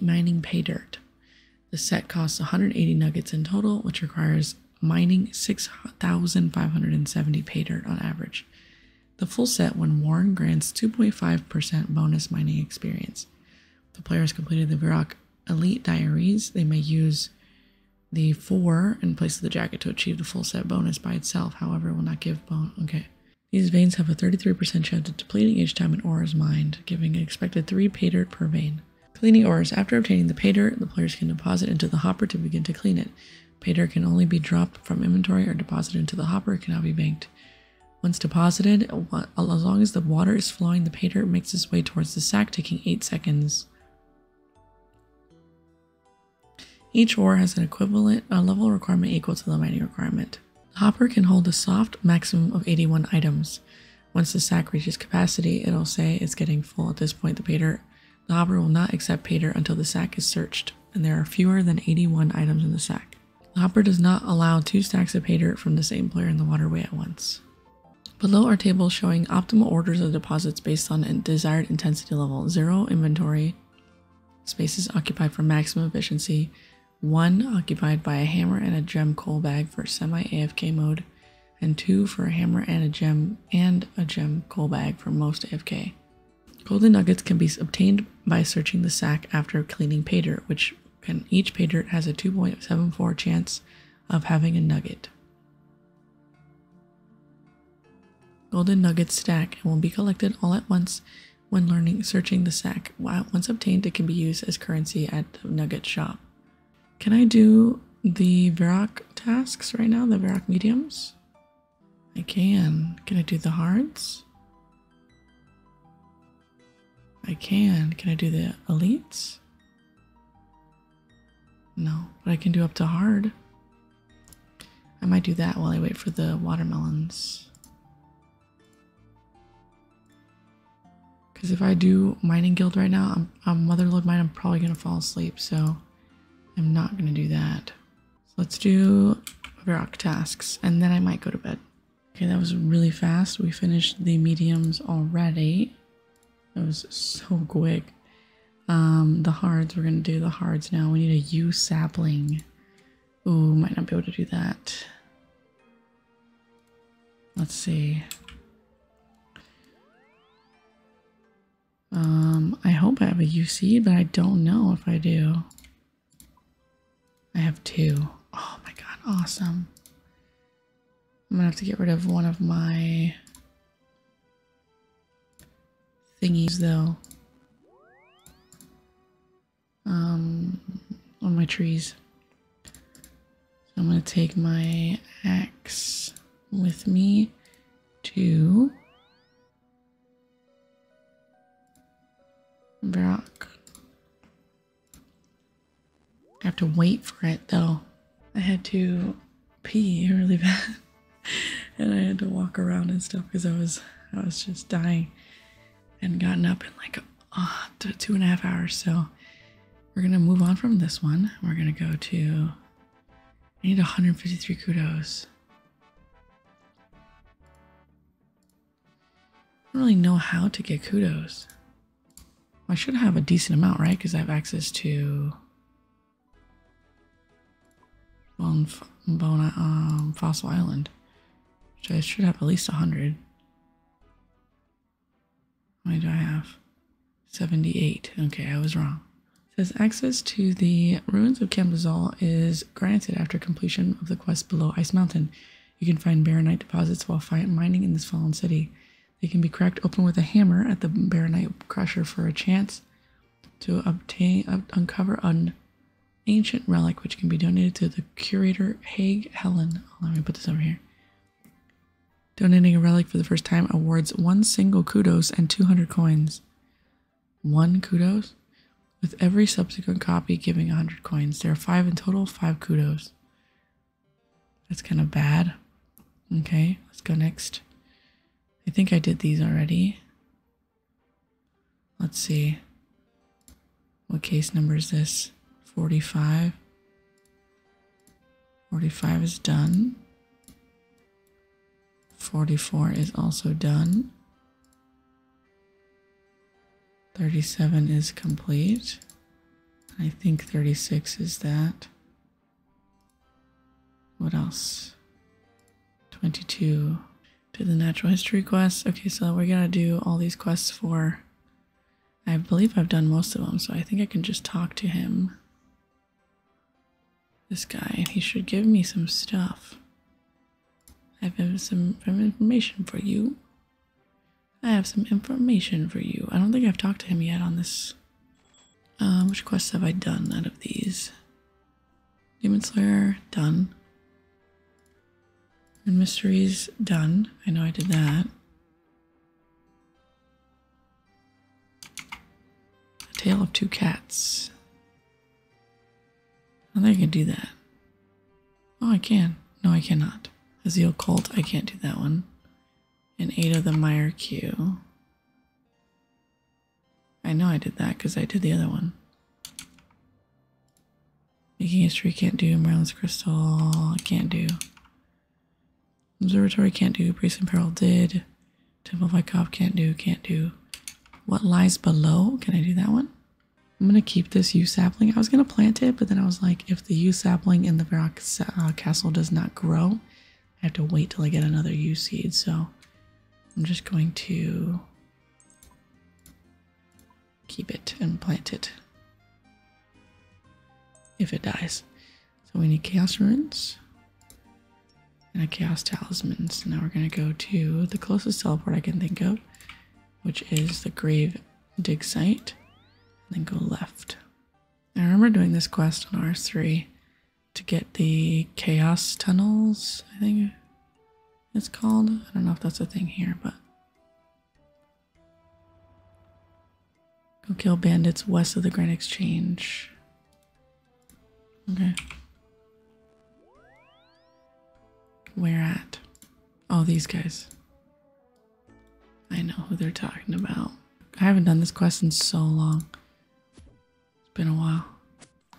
mining pay dirt. The set costs 180 nuggets in total, which requires mining 6,570 pay dirt on average. The full set when Warren grants 2.5% bonus mining experience. If the player has completed the Virok Elite Diaries. They may use the 4 in place of the jacket to achieve the full set bonus by itself. However, will not give bone. Okay. These veins have a 33% chance of depleting each time an ore is mined, giving an expected 3 pay dirt per vein. Cleaning ores. After obtaining the pater, the players can deposit into the hopper to begin to clean it. Pater can only be dropped from inventory or deposited into the hopper. It cannot be banked. Once deposited, as long as the water is flowing, the pater makes its way towards the sack, taking 8 seconds. Each ore has an equivalent a level requirement equal to the mining requirement. The hopper can hold a soft maximum of 81 items. Once the sack reaches capacity, it'll say it's getting full. At this point, the pay the hopper will not accept pater until the sack is searched and there are fewer than 81 items in the sack. The hopper does not allow two stacks of pay dirt from the same player in the waterway at once. Below are tables showing optimal orders of deposits based on a desired intensity level 0 inventory, spaces occupied for maximum efficiency, 1 occupied by a hammer and a gem coal bag for semi AFK mode, and 2 for a hammer and a gem and a gem coal bag for most AFK. Golden nuggets can be obtained by searching the sack after cleaning pay which can each pay has a 2.74 chance of having a nugget. Golden nuggets stack and will be collected all at once when learning searching the sack. Once obtained, it can be used as currency at the nugget shop. Can I do the Varrock tasks right now, the Varrock mediums? I can. Can I do the hearts? I can. Can I do the elites? No, but I can do up to hard. I might do that while I wait for the watermelons. Because if I do mining guild right now, I'm, I'm mine, I'm probably going to fall asleep. So I'm not going to do that let's do rock tasks and then I might go to bed. Okay, that was really fast. We finished the mediums already. That was so quick. Um, the hards, we're gonna do the hards now. We need a U sapling. Ooh, might not be able to do that. Let's see. Um, I hope I have a UC, but I don't know if I do. I have two. Oh my god, awesome. I'm gonna have to get rid of one of my thingies though. Um, on my trees. I'm gonna take my axe with me to Brock. I have to wait for it though. I had to pee really bad. and I had to walk around and stuff because I was I was just dying and gotten up in like two and a half hours. So we're gonna move on from this one. We're gonna go to I need 153 kudos. I don't really know how to get kudos. I should have a decent amount, right? Because I have access to Bone, Bona, um, Fossil Island, which I should have at least 100. How many do I have? 78. Okay, I was wrong. says access to the ruins of Camdazal is granted after completion of the quest below Ice Mountain. You can find baronite deposits while mining in this fallen city. They can be cracked open with a hammer at the baronite crusher for a chance to obtain uncover an ancient relic which can be donated to the curator Haig Helen. let me put this over here. Donating a relic for the first time awards one single kudos and 200 coins one kudos, with every subsequent copy giving 100 coins. There are five in total, five kudos. That's kind of bad. Okay, let's go next. I think I did these already. Let's see. What case number is this? 45. 45 is done. 44 is also done. 37 is complete. I think 36 is that. What else? 22. Did the natural history quest. Okay, so we're gonna do all these quests for. I believe I've done most of them, so I think I can just talk to him. This guy, he should give me some stuff. I have some, information for you. I have some information for you. I don't think I've talked to him yet on this. Uh, which quests have I done out of these? Demon Slayer, done. And Mysteries, done. I know I did that. A Tale of Two Cats. I think I can do that. Oh, I can. No, I cannot. As the occult, I can't do that one. And eight of the Mire Q. I know I did that because I did the other one. Making history can't do. Merlin's Crystal can't do. Observatory can't do. Priest in Peril did. Temple of Cop can't do. Can't do. What lies below? Can I do that one? I'm gonna keep this yew sapling. I was gonna plant it, but then I was like, if the yew sapling in the rock uh, castle does not grow, I have to wait till I get another yew seed. So I'm just going to keep it and plant it if it dies. So we need chaos runes and a chaos talisman. So now we're gonna go to the closest teleport I can think of which is the grave dig site, and then go left. I remember doing this quest on R3 to get the chaos tunnels, I think it's called. I don't know if that's a thing here, but go kill bandits west of the Grand Exchange. Okay. Where at? All these guys. I know who they're talking about. I haven't done this quest in so long. It's been a while.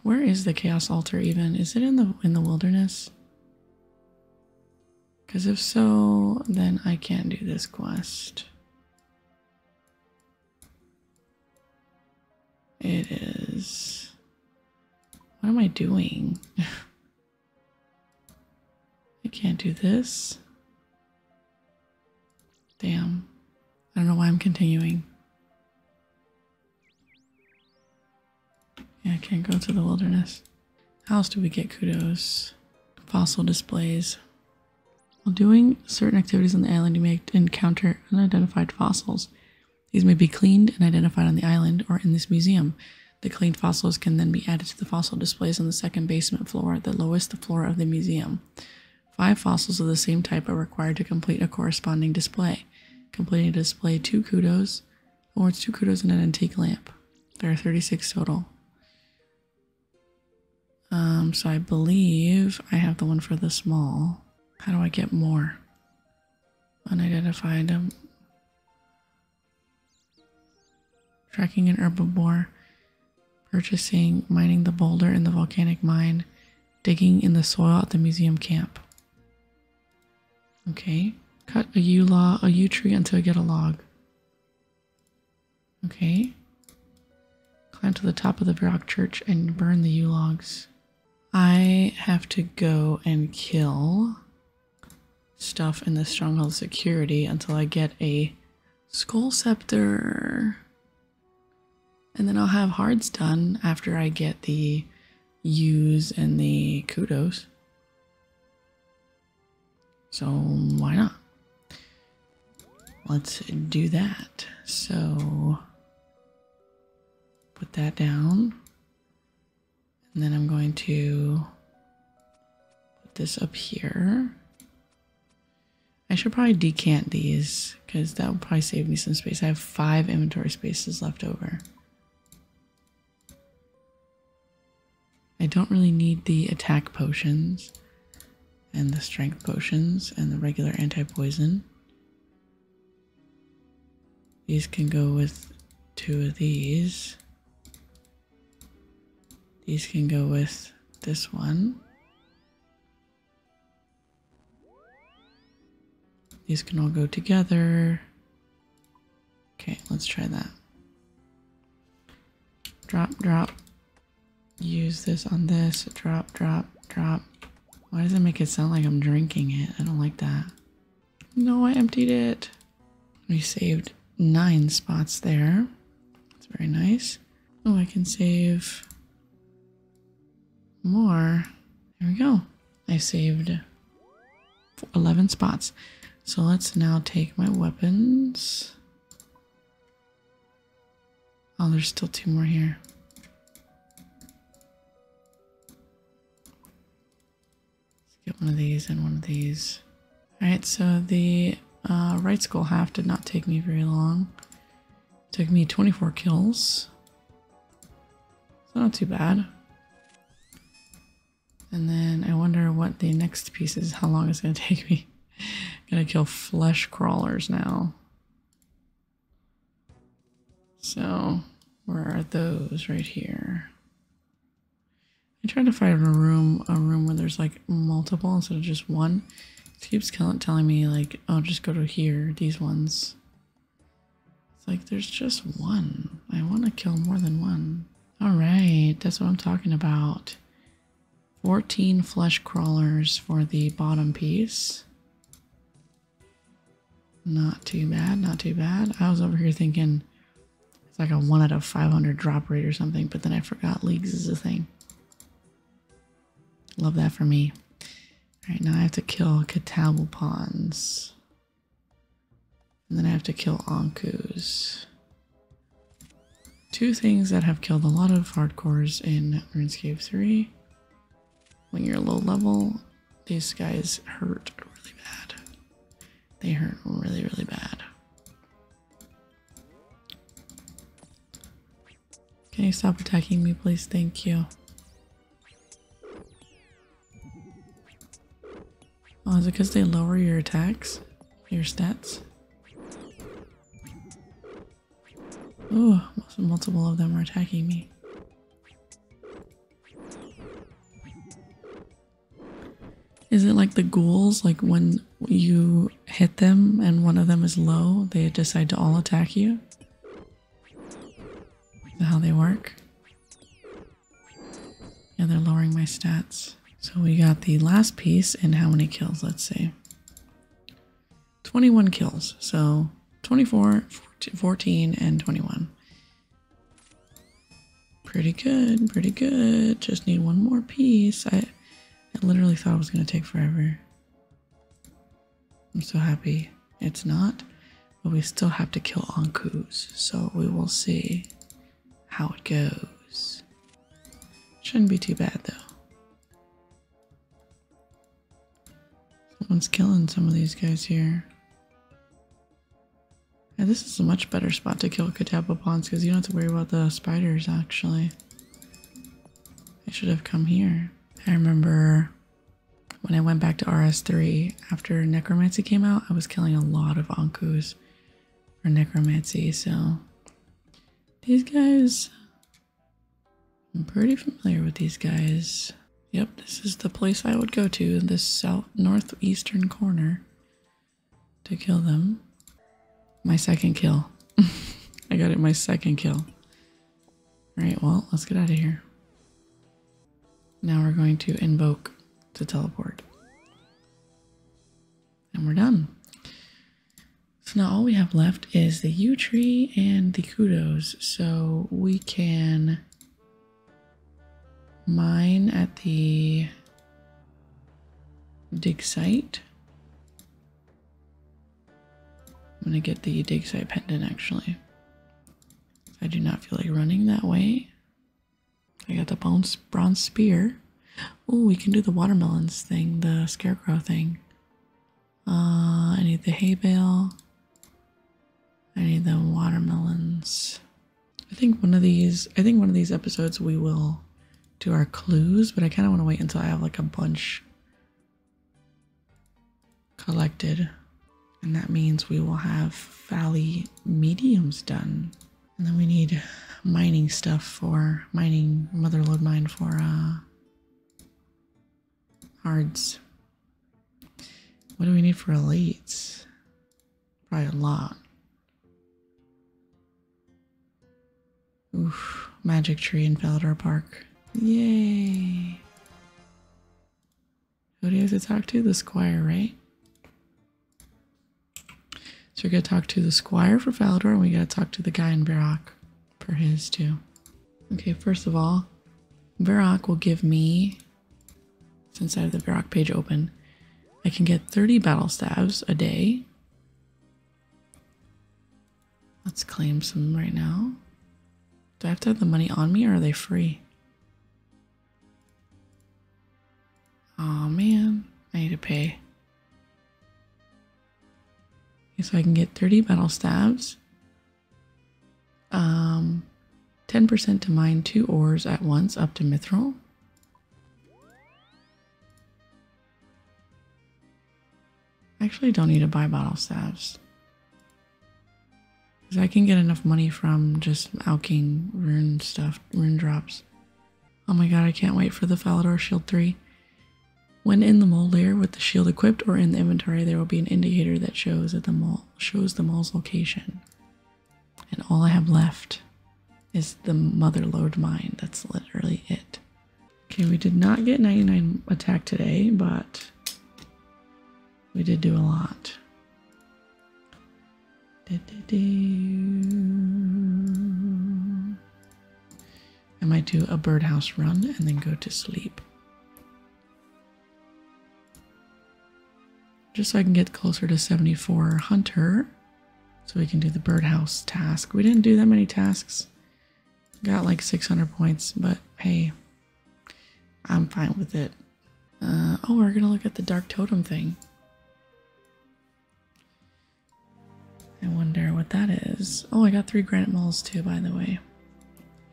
Where is the Chaos Altar even? Is it in the in the wilderness? Because if so, then I can't do this quest. It is. What am I doing? I can't do this. Damn. I don't know why I'm continuing. Yeah, I can't go to the wilderness. How else do we get kudos? Fossil displays. While doing certain activities on the island, you may encounter unidentified fossils. These may be cleaned and identified on the island or in this museum. The cleaned fossils can then be added to the fossil displays on the second basement floor, the lowest floor of the museum. Five fossils of the same type are required to complete a corresponding display. Completing a display two kudos or oh, it's two kudos and an antique lamp. There are 36 total. Um, so I believe I have the one for the small. How do I get more? unidentified um, tracking an herbivore, purchasing, mining the boulder in the volcanic mine, digging in the soil at the museum camp. Okay, cut a yew law, a yew tree until I get a log. Okay, climb to the top of the rock church and burn the yew logs. I have to go and kill stuff in the stronghold security until I get a skull scepter. And then I'll have hards done after I get the use and the kudos. So why not? Let's do that. So put that down. And then I'm going to put this up here. I should probably decant these because that will probably save me some space. I have five inventory spaces left over. I don't really need the attack potions and the strength potions and the regular anti-poison. These can go with two of these. These can go with this one. These can all go together. Okay, let's try that. Drop, drop. Use this on this. Drop, drop, drop. Why does it make it sound like I'm drinking it? I don't like that. No, I emptied it. We saved nine spots there. That's very nice. Oh, I can save more. There we go. I saved 11 spots. So let's now take my weapons. Oh, there's still two more here get one of these and one of these. Alright, so the uh, right skull half did not take me very long. took me 24 kills. So not too bad. And then I wonder what the next piece is, how long it's going to take me. I'm going to kill flesh crawlers now. So, where are those right here? I tried to find a room, a room where there's like multiple instead of just one. It keeps telling me like, oh, just go to here, these ones. It's like, there's just one. I want to kill more than one. All right, that's what I'm talking about. 14 flesh crawlers for the bottom piece. Not too bad, not too bad. I was over here thinking it's like a 1 out of 500 drop rate or something, but then I forgot leagues is a thing. Love that for me. Alright, now I have to kill Catalbal And then I have to kill Ankus. Two things that have killed a lot of hardcores in RuneScape 3. When you're low level these guys hurt really bad. They hurt really, really bad. Can you stop attacking me, please? Thank you. Oh, is it because they lower your attacks? Your stats? Oh, multiple of them are attacking me. Is it like the ghouls? Like when you hit them and one of them is low, they decide to all attack you? how they work? Yeah, they're lowering my stats. So we got the last piece and how many kills? Let's see. 21 kills. So 24, 14 and 21. Pretty good, pretty good. Just need one more piece. I, I literally thought it was going to take forever. I'm so happy it's not. But we still have to kill Ankus, so we will see how it goes. Shouldn't be too bad though. Someone's killing some of these guys here this is a much better spot to kill Catapa Ponds because you don't have to worry about the spiders actually. I should have come here. I remember when I went back to RS3 after Necromancy came out, I was killing a lot of Ankus for Necromancy, so these guys I'm pretty familiar with these guys. Yep, this is the place I would go to in this south northeastern corner to kill them. My second kill. I got it my second kill. Alright, well, let's get out of here. Now we're going to invoke to teleport. And we're done. So now all we have left is the yew tree and the kudos. So we can mine at the dig site. I'm going to get the dig site pendant actually. I do not feel like running that way. I got the bronze, spear. Oh, we can do the watermelons thing, the scarecrow thing. Uh, I need the hay bale. I need the watermelons. I think one of these I think one of these episodes we will do our clues, but I kinda wanna wait until I have like a bunch collected. And that means we will have valley mediums done. And then we need mining stuff for mining motherload mine for uh hards. What do we need for elites? Probably a lot. Oof. Magic tree in Falador Park. Yay. Who do you have to talk to? The squire, right? So we're going to talk to the squire for Falador, and we got to talk to the guy in Barak for his, too. Okay, first of all, Barak will give me since I have the Varrock page open, I can get 30 battle stabs a day. Let's claim some right now. Do I have to have the money on me or are they free? oh, man, I need to pay. so I can get 30 battle stabs. 10% um, to mine two ores at once up to mithril. I actually don't need to buy bottle staves, Because I can get enough money from just alking rune stuff, rune drops. Oh my god, I can't wait for the Falador Shield 3. When in the mole layer with the shield equipped or in the inventory, there will be an indicator that shows that the mole shows the mole's location. And all I have left is the Motherlode mine. That's literally it. Okay, we did not get 99 attack today, but we did do a lot. I might do a birdhouse run and then go to sleep. Just so I can get closer to 74 Hunter. So we can do the birdhouse task. We didn't do that many tasks. Got like 600 points, but hey, I'm fine with it. Uh, oh, we're gonna look at the Dark Totem thing. I wonder what that is. Oh, I got three granite moles too, by the way.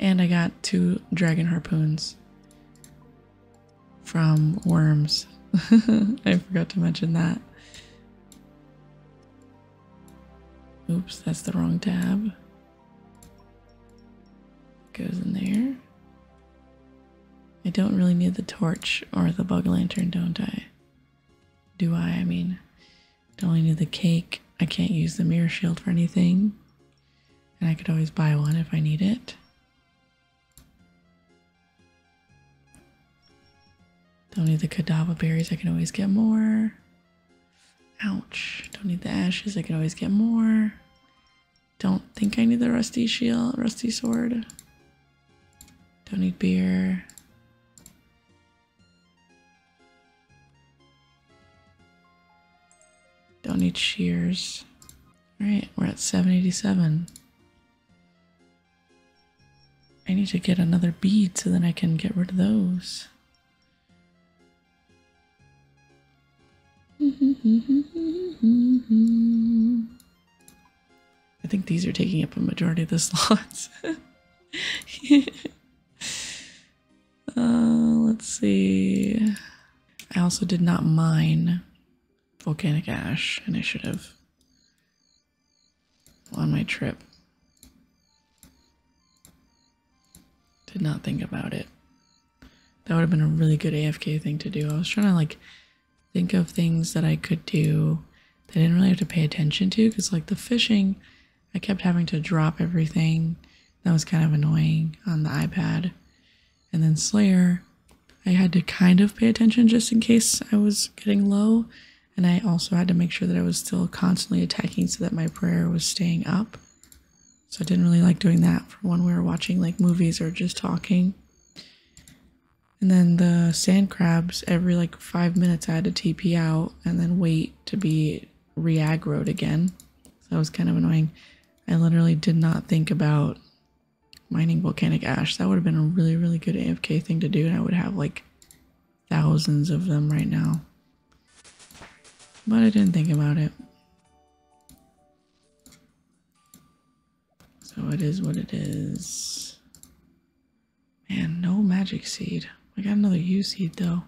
And I got two dragon harpoons from worms. I forgot to mention that. Oops, that's the wrong tab. Goes in there. I don't really need the torch or the bug lantern, don't I? Do I? I mean, I only need the cake. I can't use the mirror shield for anything. And I could always buy one if I need it. Don't need the cadaver berries, I can always get more. Ouch. Don't need the ashes, I can always get more. Don't think I need the rusty shield, rusty sword. Don't need beer. Don't need shears. Alright, we're at 787. I need to get another bead so then I can get rid of those. I think these are taking up a majority of the slots. Uh, let's see. I also did not mine volcanic ash initiative on my trip. Did not think about it. That would have been a really good AFK thing to do. I was trying to like think of things that I could do that didn't really have to pay attention to because like the fishing, I kept having to drop everything. That was kind of annoying on the iPad. And then Slayer, I had to kind of pay attention just in case I was getting low. And I also had to make sure that I was still constantly attacking so that my prayer was staying up. So I didn't really like doing that for when we were watching like movies or just talking. And then the sand crabs, every like five minutes I had to TP out and then wait to be re-aggroed again. So that was kind of annoying. I literally did not think about Mining volcanic ash. That would have been a really, really good AFK thing to do, and I would have like thousands of them right now. But I didn't think about it. So it is what it is. Man, no magic seed. I got another U seed though.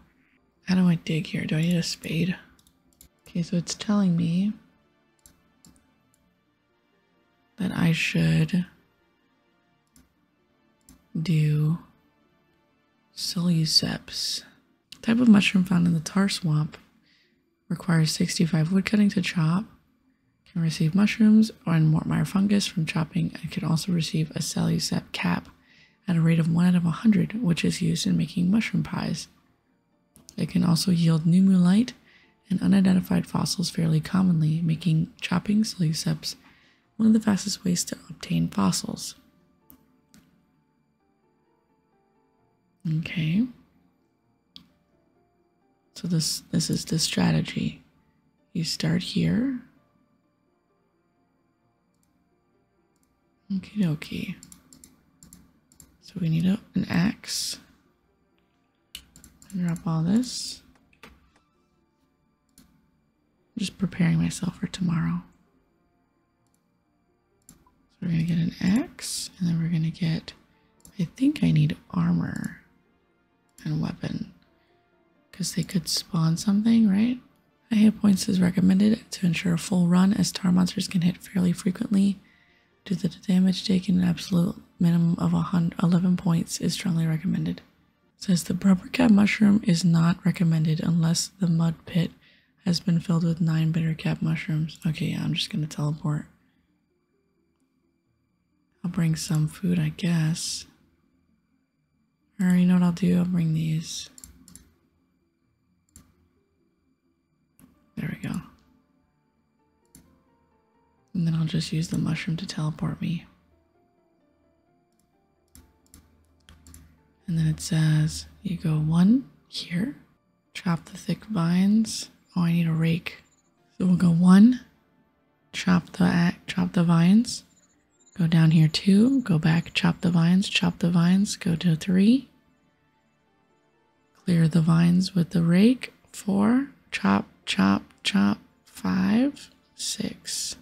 How do I dig here? Do I need a spade? Okay, so it's telling me that I should do Soluceps. Type of mushroom found in the tar swamp requires 65 woodcutting to chop. Can receive mushrooms or Mortmeyer fungus from chopping and can also receive a Seleucep cap at a rate of 1 out of 100, which is used in making mushroom pies. It can also yield new numulite and unidentified fossils fairly commonly, making chopping seleuceps one of the fastest ways to obtain fossils. Okay. So this this is the strategy. You start here. Okay, okay. So we need an axe. Drop all this. I'm just preparing myself for tomorrow. So we're going to get an axe, and then we're going to get, I think I need armor and weapon. Because they could spawn something, right? High hit points is recommended to ensure a full run as tar monsters can hit fairly frequently. To the damage taken, an absolute minimum of hundred eleven points is strongly recommended. It says the rubber cap mushroom is not recommended unless the mud pit has been filled with 9 bitter cap mushrooms. Okay, I'm just going to teleport. I'll bring some food, I guess. Or you know what I'll do? I'll bring these. There we go. And then I'll just use the mushroom to teleport me. And then it says you go one here, chop the thick vines. Oh, I need a rake. So we'll go one, chop the chop the vines. Go down here two, go back, chop the vines, chop the vines, go to three, Clear the vines with the rake. Four. Chop, chop, chop. Five, six.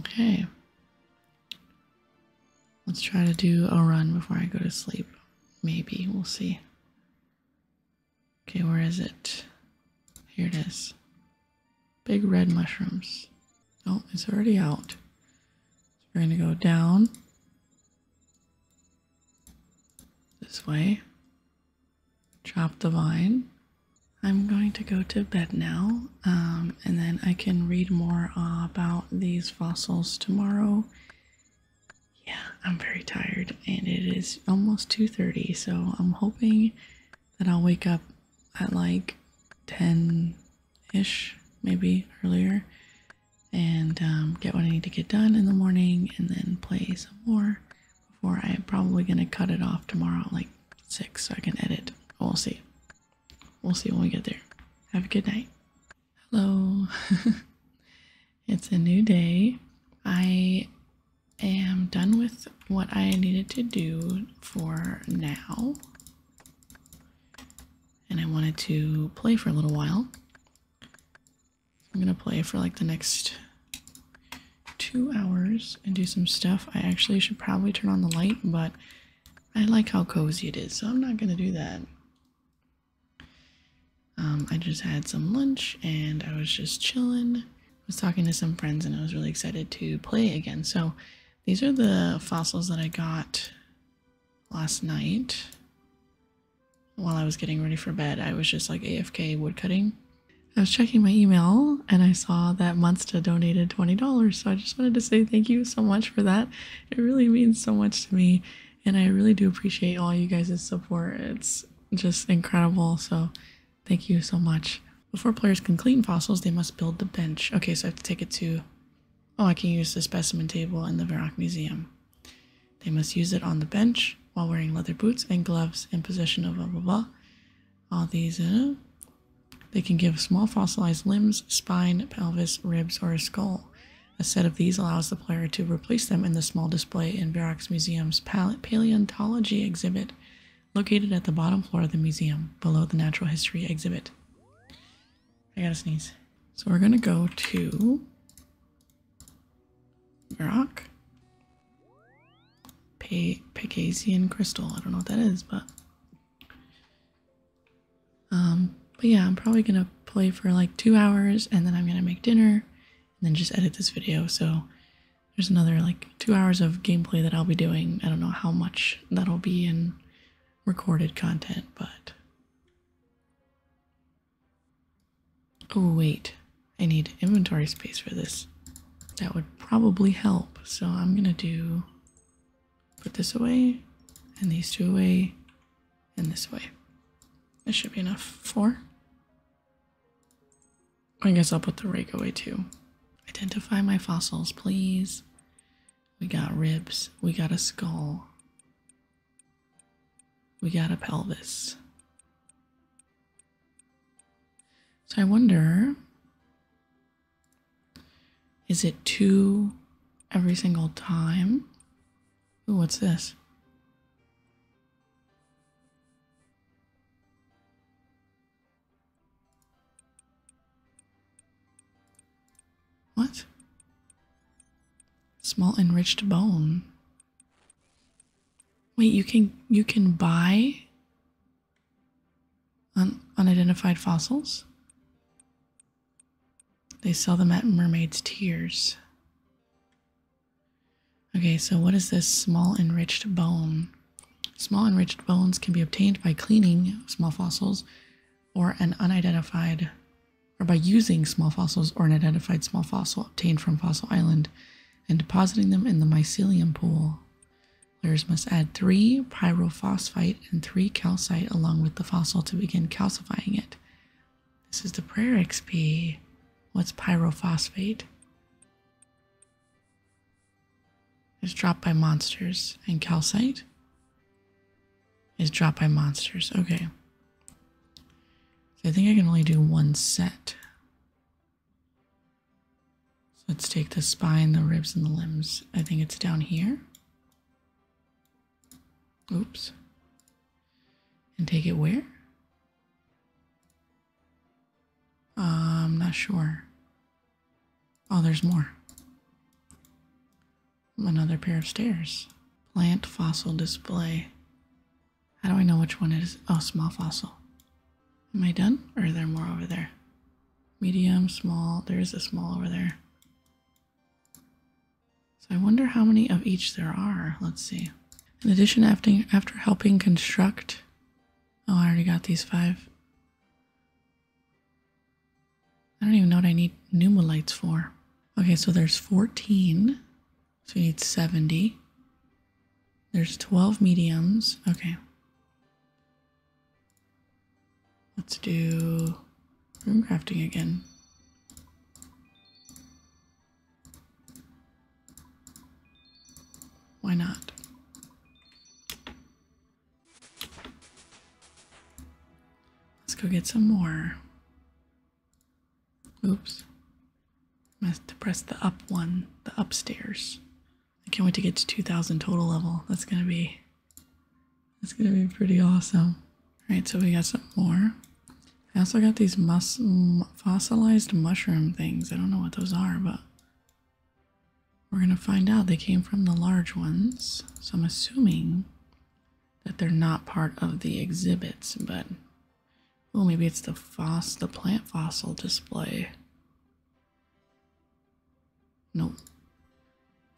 Okay. Let's try to do a run before I go to sleep. Maybe. We'll see. Okay, where is it? Here it is. Big red mushrooms. Oh, it's already out. we're going to go down this way, chop the vine. I'm going to go to bed now, um, and then I can read more about these fossils tomorrow. Yeah, I'm very tired, and it is almost 2.30, so I'm hoping that I'll wake up at like 10-ish, maybe earlier, and um, get what I need to get done in the morning and then play some more before I'm probably going to cut it off tomorrow like 6 so I can edit. We'll see. We'll see when we get there. Have a good night. Hello. it's a new day. I am done with what I needed to do for now and I wanted to play for a little while. I'm gonna play for like the next two hours and do some stuff. I actually should probably turn on the light, but I like how cozy it is, so I'm not gonna do that. Um, I just had some lunch and I was just chilling. I was talking to some friends and I was really excited to play again. So these are the fossils that I got last night while I was getting ready for bed. I was just like AFK woodcutting. I was checking my email and I saw that Munsta donated $20. So I just wanted to say thank you so much for that. It really means so much to me. And I really do appreciate all you guys' support. It's just incredible. So thank you so much. Before players can clean fossils, they must build the bench. Okay, so I have to take it to Oh, I can use the specimen table in the Varrock Museum. They must use it on the bench while wearing leather boots and gloves in possession of blah blah blah. All these, uh, they can give small fossilized limbs, spine, pelvis, ribs, or a skull. A set of these allows the player to replace them in the small display in Varrock's Museum's Paleontology exhibit, located at the bottom floor of the museum, below the Natural History exhibit. I gotta sneeze. So we're gonna go to rock. Pe Pegazian crystal. I don't know what that is, but um, but yeah, I'm probably gonna play for like two hours and then I'm gonna make dinner and then just edit this video. So there's another like two hours of gameplay that I'll be doing. I don't know how much that'll be in recorded content, but Oh, wait. I need inventory space for this. That would probably help. So I'm going to do put this away and these two away and this away. That should be enough. for. I guess I'll put the rake away too. Identify my fossils, please. We got ribs. We got a skull. We got a pelvis. So I wonder is it two every single time? Ooh, what's this? What? Small enriched bone. Wait, you can you can buy un unidentified fossils? They sell them at Mermaid's Tears. Okay, so what is this small enriched bone? Small enriched bones can be obtained by cleaning small fossils or an unidentified, or by using small fossils or an identified small fossil obtained from Fossil Island and depositing them in the mycelium pool. Players must add three pyrophosphate and three calcite along with the fossil to begin calcifying it. This is the prayer XP. What's pyrophosphate? It's dropped by monsters and calcite is dropped by monsters. Okay. So I think I can only do one set. So let's take the spine, the ribs, and the limbs. I think it's down here. Oops. And take it where? Uh, I'm not sure. Oh, there's more. Another pair of stairs. Plant fossil display. How do I know which one is Oh, small fossil. Am I done? Or are there more over there? Medium, small. There is a small over there. So I wonder how many of each there are. Let's see. In addition, after helping construct... Oh, I already got these five. I don't even know what I need pneumolites for. Okay, so there's 14. So you need 70. There's 12 mediums. Okay. Let's do room crafting again. Why not? Let's go get some more. Oops. I have to press the up one, the upstairs. I can't wait to get to 2,000 total level. That's gonna be, that's gonna be pretty awesome. All right, so we got some more. I also got these fossilized mushroom things. I don't know what those are, but we're gonna find out. They came from the large ones, so I'm assuming that they're not part of the exhibits, but well, maybe it's the foss the plant fossil display. No,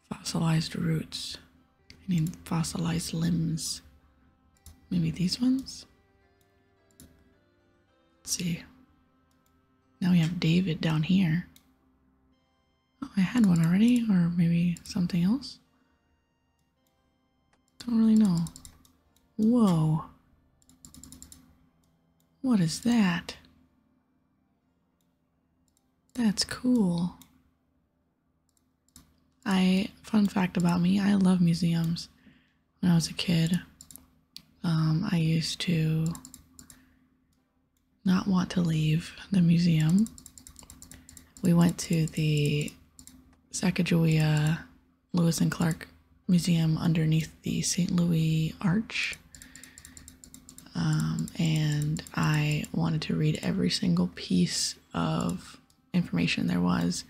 Fossilized roots. I fossilized limbs. Maybe these ones? Let's see. Now we have David down here. Oh, I had one already, or maybe something else? Don't really know. Whoa. What is that? That's cool. I, fun fact about me, I love museums. When I was a kid, um, I used to not want to leave the museum we went to the Sacagawea Lewis and Clark Museum underneath the St. Louis Arch. Um, and I wanted to read every single piece of information there was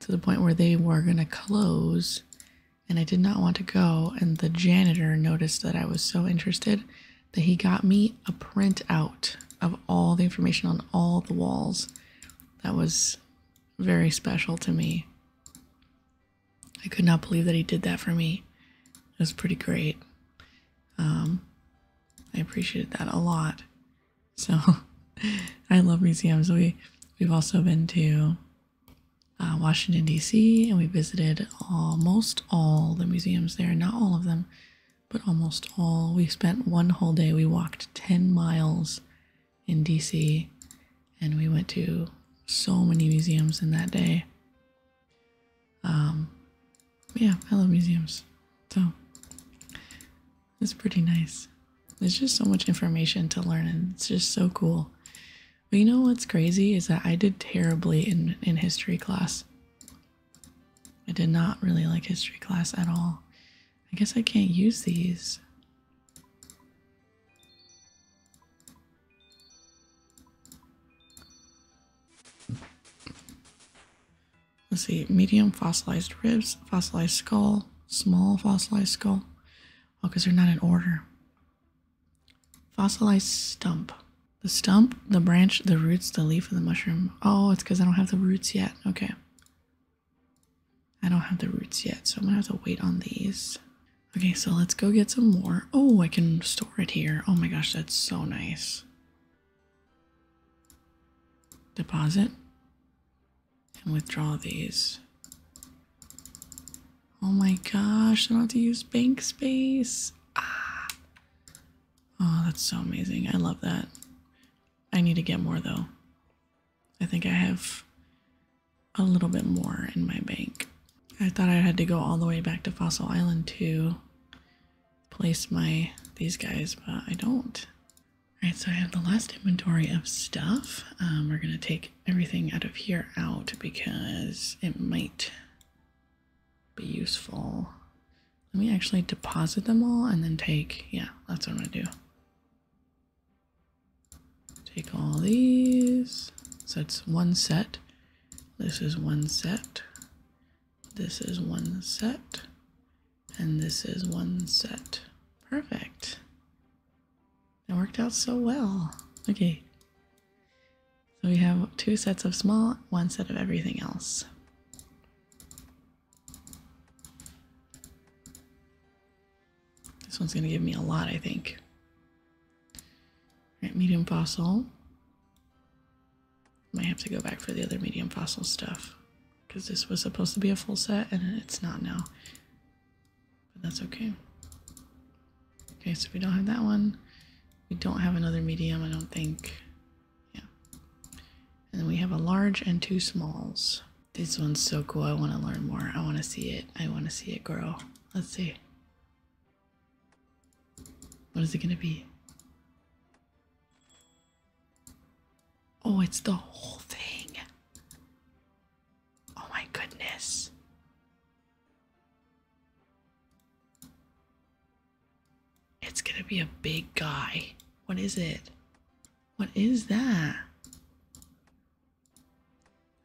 to the point where they were going to close and I did not want to go. And the janitor noticed that I was so interested that he got me a printout of all the information on all the walls. That was very special to me. I could not believe that he did that for me. It was pretty great. Um, I appreciated that a lot. So I love museums. We we've also been to uh, Washington D.C. and we visited almost all the museums there. Not all of them, but almost all. We spent one whole day. We walked 10 miles in DC and we went to so many museums in that day. Um, yeah, I love museums. So it's pretty nice. There's just so much information to learn and it's just so cool. But you know what's crazy is that I did terribly in, in history class. I did not really like history class at all. I guess I can't use these. Let's see, medium fossilized ribs, fossilized skull, small fossilized skull. Oh, because they're not in order. Fossilized stump. The stump, the branch, the roots, the leaf, and the mushroom. Oh, it's because I don't have the roots yet. Okay. I don't have the roots yet, so I'm gonna have to wait on these. Okay, so let's go get some more. Oh, I can store it here. Oh my gosh, that's so nice. Deposit. And withdraw these. Oh my gosh, I don't have to use bank space. Ah. Oh, that's so amazing. I love that. I need to get more though. I think I have a little bit more in my bank. I thought I had to go all the way back to Fossil Island to place my these guys, but I don't. Alright, so I have the last inventory of stuff. Um, we're gonna take everything out of here out because it might be useful. Let me actually deposit them all and then take, yeah, that's what I'm gonna do. Take all these. So that's one set. This is one set. This is one set. And this is one set. Perfect. That worked out so well. Okay. So we have two sets of small, one set of everything else. This one's going to give me a lot, I think. All right, medium fossil. Might have to go back for the other medium fossil stuff because this was supposed to be a full set and it's not now. But that's okay. Okay, so we don't have that one. We don't have another medium, I don't think. Yeah. And we have a large and two smalls. This one's so cool. I want to learn more. I want to see it. I want to see it grow. Let's see. What is it going to be? Oh, it's the whole thing. Oh my goodness. It's gonna be a big guy. What is it? What is that?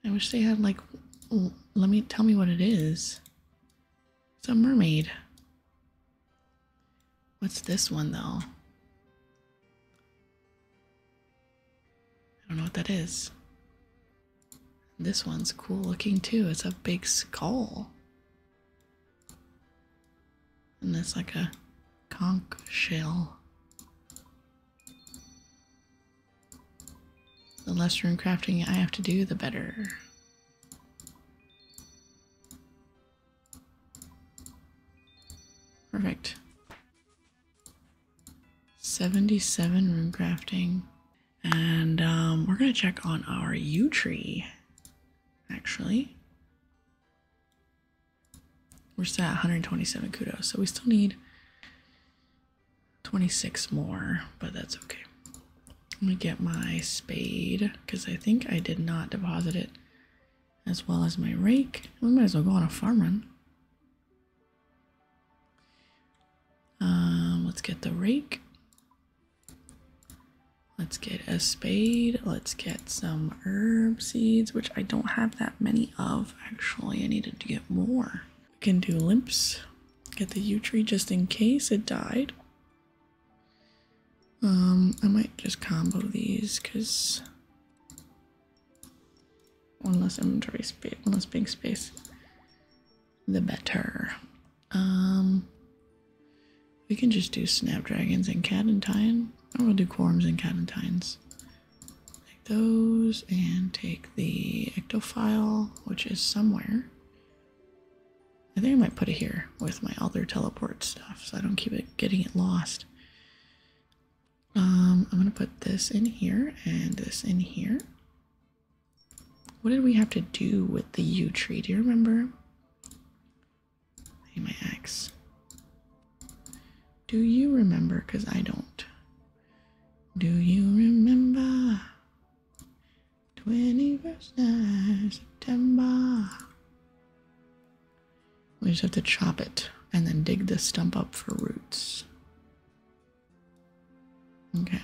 I wish they had like, let me tell me what it is. It's a mermaid. What's this one though? I don't know what that is. This one's cool looking too. It's a big skull. And that's like a conch shell. The less room crafting I have to do, the better. Perfect. 77 room crafting. And um, we're going to check on our yew tree actually. We're still at 127 kudos, so we still need 26 more, but that's okay. I'm gonna get my spade because I think I did not deposit it as well as my rake. We might as well go on a farm run. Um, let's get the rake. Let's get a spade. Let's get some herb seeds, which I don't have that many of actually. I needed to get more. We can do limps. Get the yew tree just in case it died. Um, I might just combo these because one less inventory space, one less big space, the better. Um, we can just do snapdragons and cadentine. or we'll do quorums and cadentines. Take those and take the ectophile, which is somewhere. I think I might put it here with my other teleport stuff, so I don't keep it getting it lost. Um, I'm gonna put this in here and this in here. What did we have to do with the U tree? Do you remember? I my axe. Do you remember? Because I don't. Do you remember? 21st night, September. We just have to chop it and then dig the stump up for roots. Okay.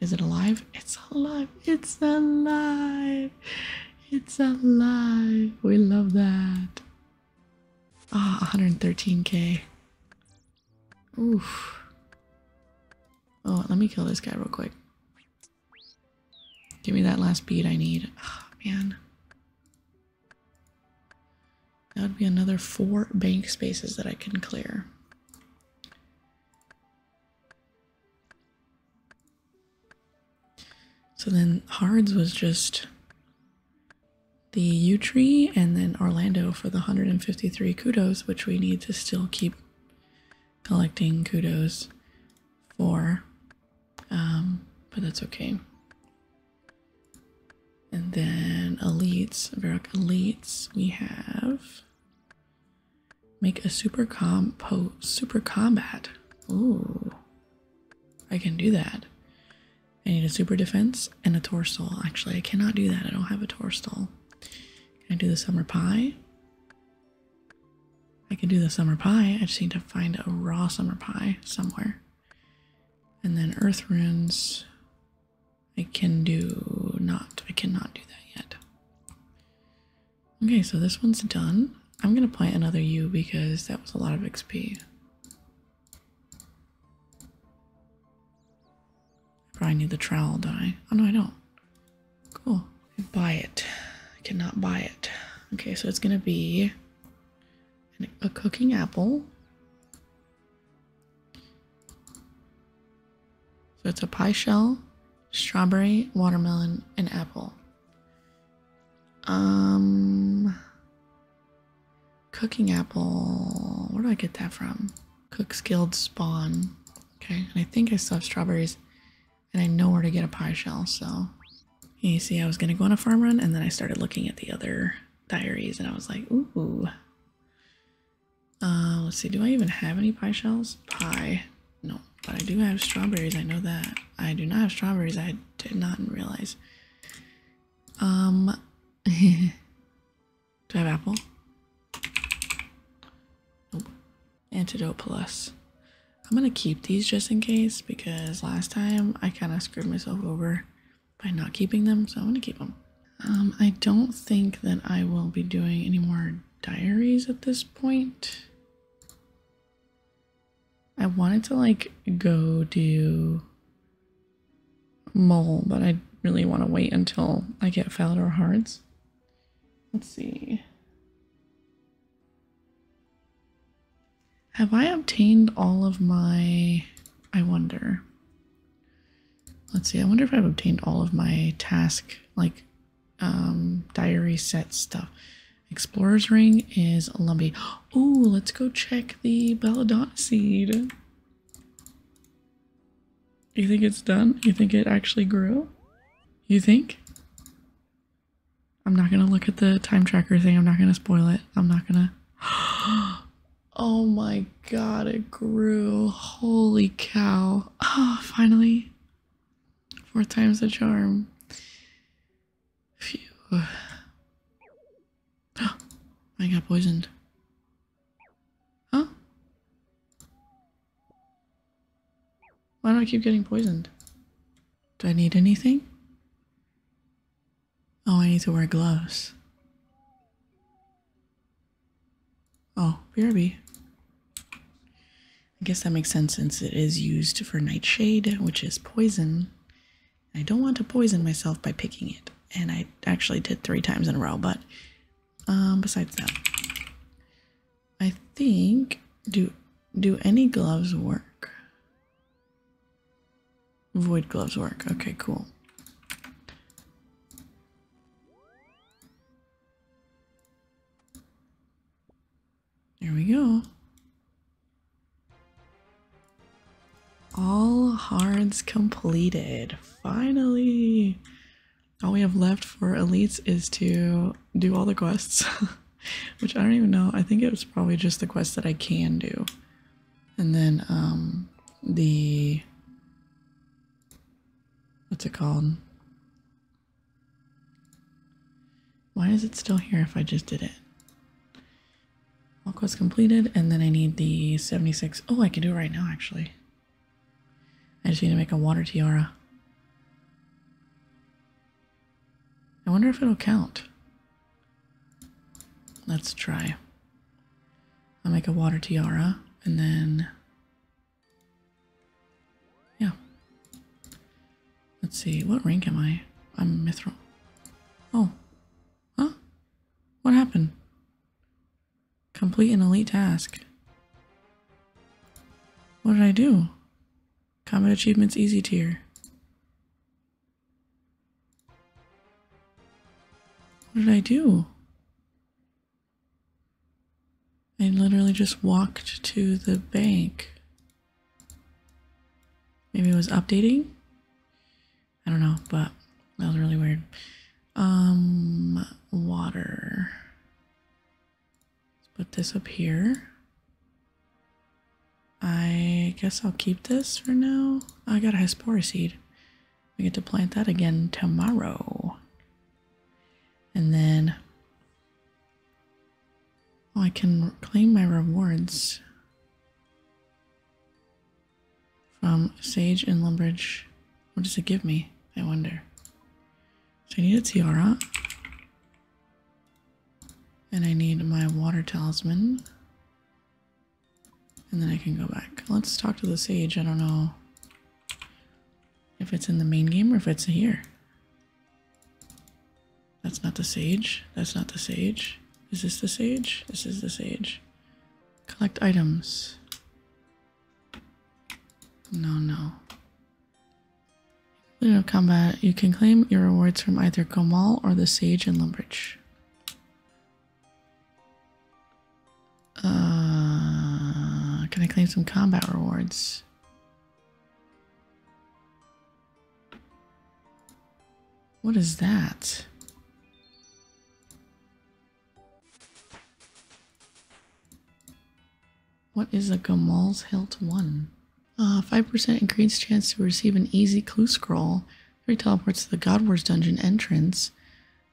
Is it alive? It's alive. It's alive. It's a lie. We love that. Ah, oh, 113k. Oof. Oh, let me kill this guy real quick. Give me that last bead I need. Ah, man. That would be another four bank spaces that I can clear. So then Hards was just the yu tree and then Orlando for the 153 kudos, which we need to still keep collecting kudos for. Um, but that's okay. And then elites, Varroc elites, we have Make a super compo super combat. Ooh. I can do that. I need a super defense and a torsol. Actually, I cannot do that. I don't have a torsol. Can I do the summer pie? I can do the summer pie. I just need to find a raw summer pie somewhere. And then earth runes. I can do not. I cannot do that yet. Okay, so this one's done. I'm gonna plant another U because that was a lot of XP. Probably need the trowel die. Oh no, I don't. Cool. Buy it. I cannot buy it. Okay, so it's gonna be a cooking apple. So it's a pie shell, strawberry, watermelon, and apple. Um, cooking apple. Where do I get that from? Cook's Guild spawn. Okay, and I think I still have strawberries, and I know where to get a pie shell. So you see, I was gonna go on a farm run, and then I started looking at the other diaries, and I was like, ooh. Uh, let's see. Do I even have any pie shells? Pie. No, but I do have strawberries. I know that. I do not have strawberries. I did not realize. Um, do I have apple? Antidote plus. I'm gonna keep these just in case because last time I kind of screwed myself over by not keeping them, so I'm gonna keep them. Um, I don't think that I will be doing any more diaries at this point. I wanted to like go do mole, but I really want to wait until I get Falador Hearts. Let's see. Have I obtained all of my... I wonder. Let's see, I wonder if I've obtained all of my task, like, um, diary set stuff. Explorer's Ring is Lumpy. Oh, let's go check the Belladonna seed. You think it's done? You think it actually grew? You think? I'm not gonna look at the time tracker thing. I'm not gonna spoil it. I'm not gonna. oh my god, it grew. Holy cow. Oh, finally. Four times the charm. Phew. Oh, I got poisoned. Huh? Why do I keep getting poisoned? Do I need anything? Oh, I need to wear gloves. Oh, BRB. I guess that makes sense since it is used for nightshade, which is poison. I don't want to poison myself by picking it, and I actually did three times in a row, but um, besides that, I think, do, do any gloves work? Void gloves work. Okay, cool. There we go. All hards completed. Finally! All we have left for elites is to do all the quests, which I don't even know. I think it was probably just the quests that I can do. And then um, the, what's it called? Why is it still here if I just did it? All quests completed, and then I need the 76. Oh, I can do it right now, actually. I just need to make a water tiara. I wonder if it'll count. Let's try. I'll make a water tiara, and then yeah. Let's see, what rank am I? I'm Mithril. Oh. Huh? What happened? Complete an elite task. What did I do? Combat achievements easy tier. What did I do? I literally just walked to the bank. Maybe it was updating. I don't know, but that was really weird. Um, water. Let's put this up here. I guess I'll keep this for now. I got a Hespora seed. We get to plant that again tomorrow. And then Oh, I can claim my rewards from Sage and Lumbridge. What does it give me? I wonder. So I need a tiara. And I need my water talisman. And then I can go back. Let's talk to the sage. I don't know if it's in the main game or if it's here. That's not the sage. That's not the sage. Is this the sage? This is the sage. Collect items. No, no. Leader of combat, you can claim your rewards from either Gomal or the Sage in Lumbridge. Uh, can I claim some combat rewards? What is that? What is a Gamal's Hilt 1? Uh, 5% increased chance to receive an easy clue scroll. 3 teleports to the God Wars dungeon entrance.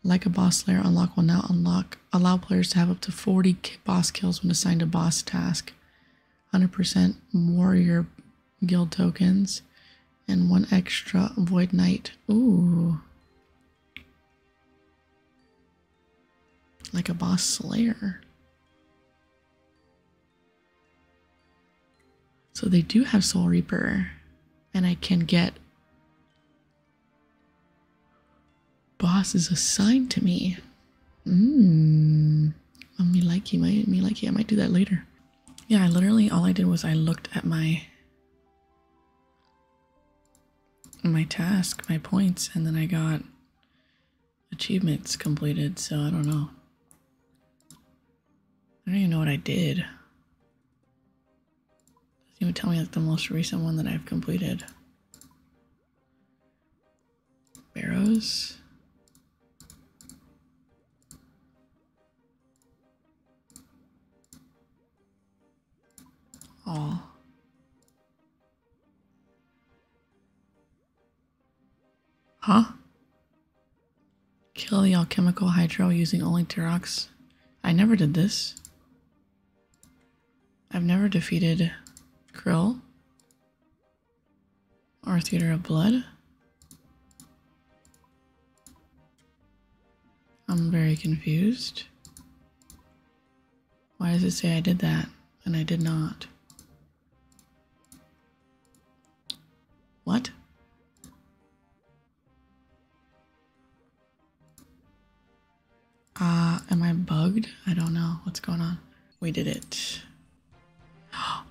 Like a boss layer unlock will now unlock allow players to have up to 40 boss kills when assigned a boss task. 100% warrior guild tokens, and one extra void knight. Ooh. Like a boss slayer. So they do have Soul Reaper, and I can get bosses assigned to me. Mmm. I'm oh, me like you, might me like you. I might do that later. Yeah, I literally all I did was I looked at my my task, my points, and then I got achievements completed, so I don't know. I don't even know what I did. It doesn't even tell me like the most recent one that I've completed. Barrows. Oh. Huh? Kill the alchemical hydro using only Turox. I never did this. I've never defeated Krill. Our Theater of Blood. I'm very confused. Why does it say I did that and I did not? What? Uh, am I bugged? I don't know what's going on. We did it.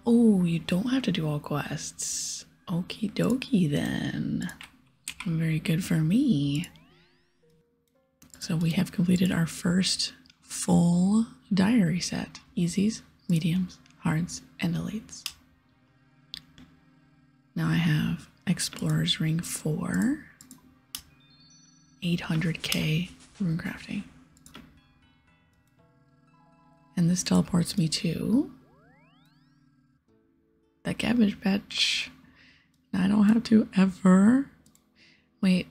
Oh, you don't have to do all quests. Okie dokie then. Very good for me. So we have completed our first full diary set. Easies, mediums, hards, and elites. Now I have Explorer's Ring 4, 800k rune crafting. And this teleports me to the cabbage patch. I don't have to ever. Wait.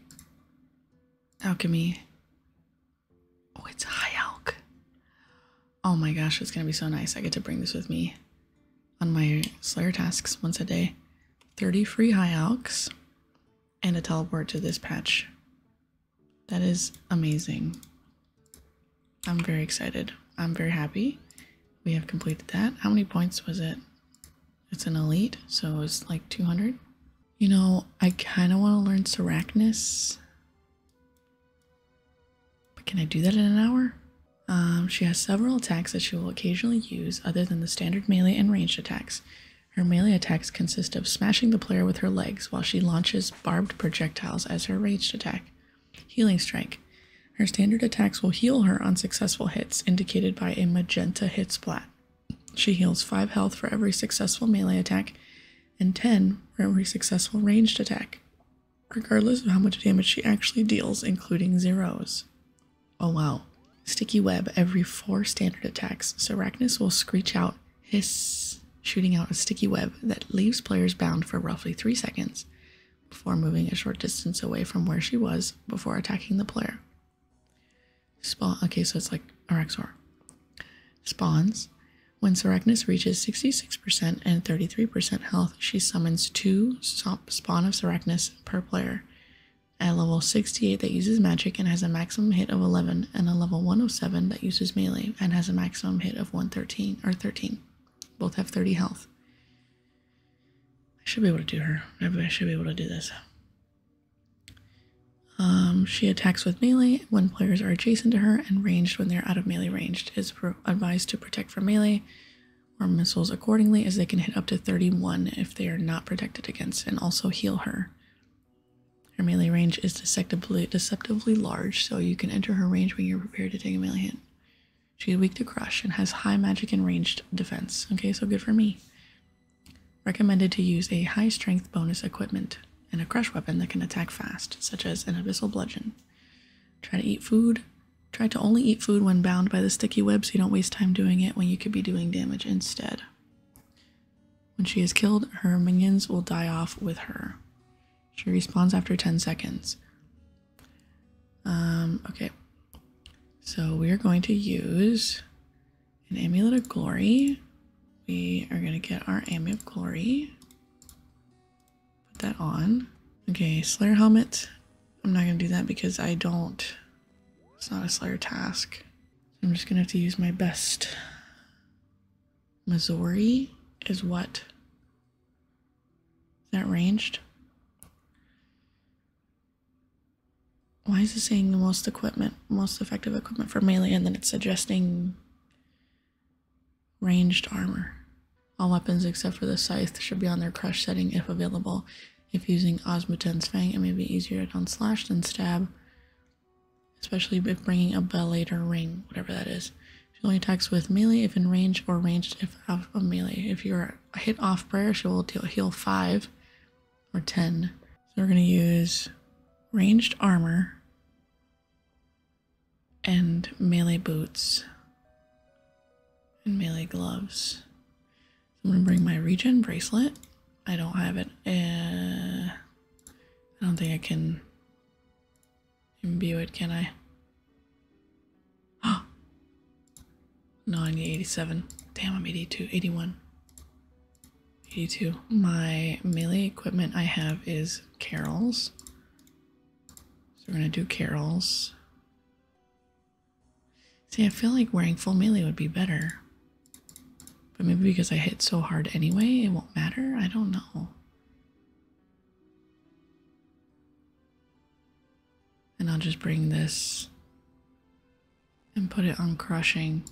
Alchemy. Oh, it's high alk. Oh my gosh, it's gonna be so nice. I get to bring this with me on my Slayer tasks once a day. 30 free high alks and a teleport to this patch that is amazing. I'm very excited. I'm very happy. We have completed that. How many points was it? It's an elite, so it's like 200. You know, I kind of want to learn Seracnus. But can I do that in an hour? Um, she has several attacks that she will occasionally use other than the standard melee and ranged attacks. Her melee attacks consist of smashing the player with her legs while she launches barbed projectiles as her ranged attack. Healing Strike. Her standard attacks will heal her on successful hits, indicated by a magenta hit splat. She heals 5 health for every successful melee attack and 10 for every successful ranged attack, regardless of how much damage she actually deals, including zeros. Oh wow. Sticky Web every 4 standard attacks, Seracnus will screech out hiss, shooting out a sticky web that leaves players bound for roughly three seconds before moving a short distance away from where she was before attacking the player. Spawn. Okay, so it's like Araxor. Spawns. When Seracnus reaches 66% and 33% health, she summons two spawn of Seracnus per player. At level 68, that uses magic and has a maximum hit of 11 and a level 107 that uses melee and has a maximum hit of 113 or 13. Both have 30 health. I should be able to do her. I should be able to do this. Um, she attacks with melee when players are adjacent to her and ranged when they're out of melee range. Is advised to protect from melee or missiles accordingly as they can hit up to 31 if they are not protected against and also heal her. Her melee range is deceptively, large, so you can enter her range when you're prepared to take a melee hit. She's weak to crush and has high magic and ranged defense. Okay, so good for me. Recommended to use a high strength bonus equipment and a crush weapon that can attack fast, such as an abyssal bludgeon. Try to eat food. Try to only eat food when bound by the sticky web so you don't waste time doing it when you could be doing damage instead. When she is killed, her minions will die off with her. She respawns after 10 seconds. Um, okay. So we are going to use an amulet of glory. We are going to get our amulet of glory. Put that on. Okay, Slayer helmet. I'm not going to do that because I don't. It's not a Slayer task. I'm just gonna have to use my best. Missouri is what? Is that ranged? Why is it saying the most equipment, most effective equipment for melee, and then it's suggesting ranged armor? All weapons except for the scythe should be on their crush setting if available. If using Osmoten's Fang, it may be easier to slash than stab especially if bringing a Belator or ring, whatever that is. She only attacks with melee if in range or ranged if off of melee. If you're hit off prayer, she will heal 5 or 10. So we're going to use ranged armor and melee boots and melee gloves. I'm going to bring my regen bracelet. I don't have it. Uh, I don't think I can imbue it, can I? Oh! No, 87. Damn, I'm 82, 81. 82. My melee equipment I have is Carol's. So we're gonna do Carol's. See, I feel like wearing full melee would be better. But maybe because I hit so hard anyway, it won't matter. I don't know. And I'll just bring this and put it on crushing.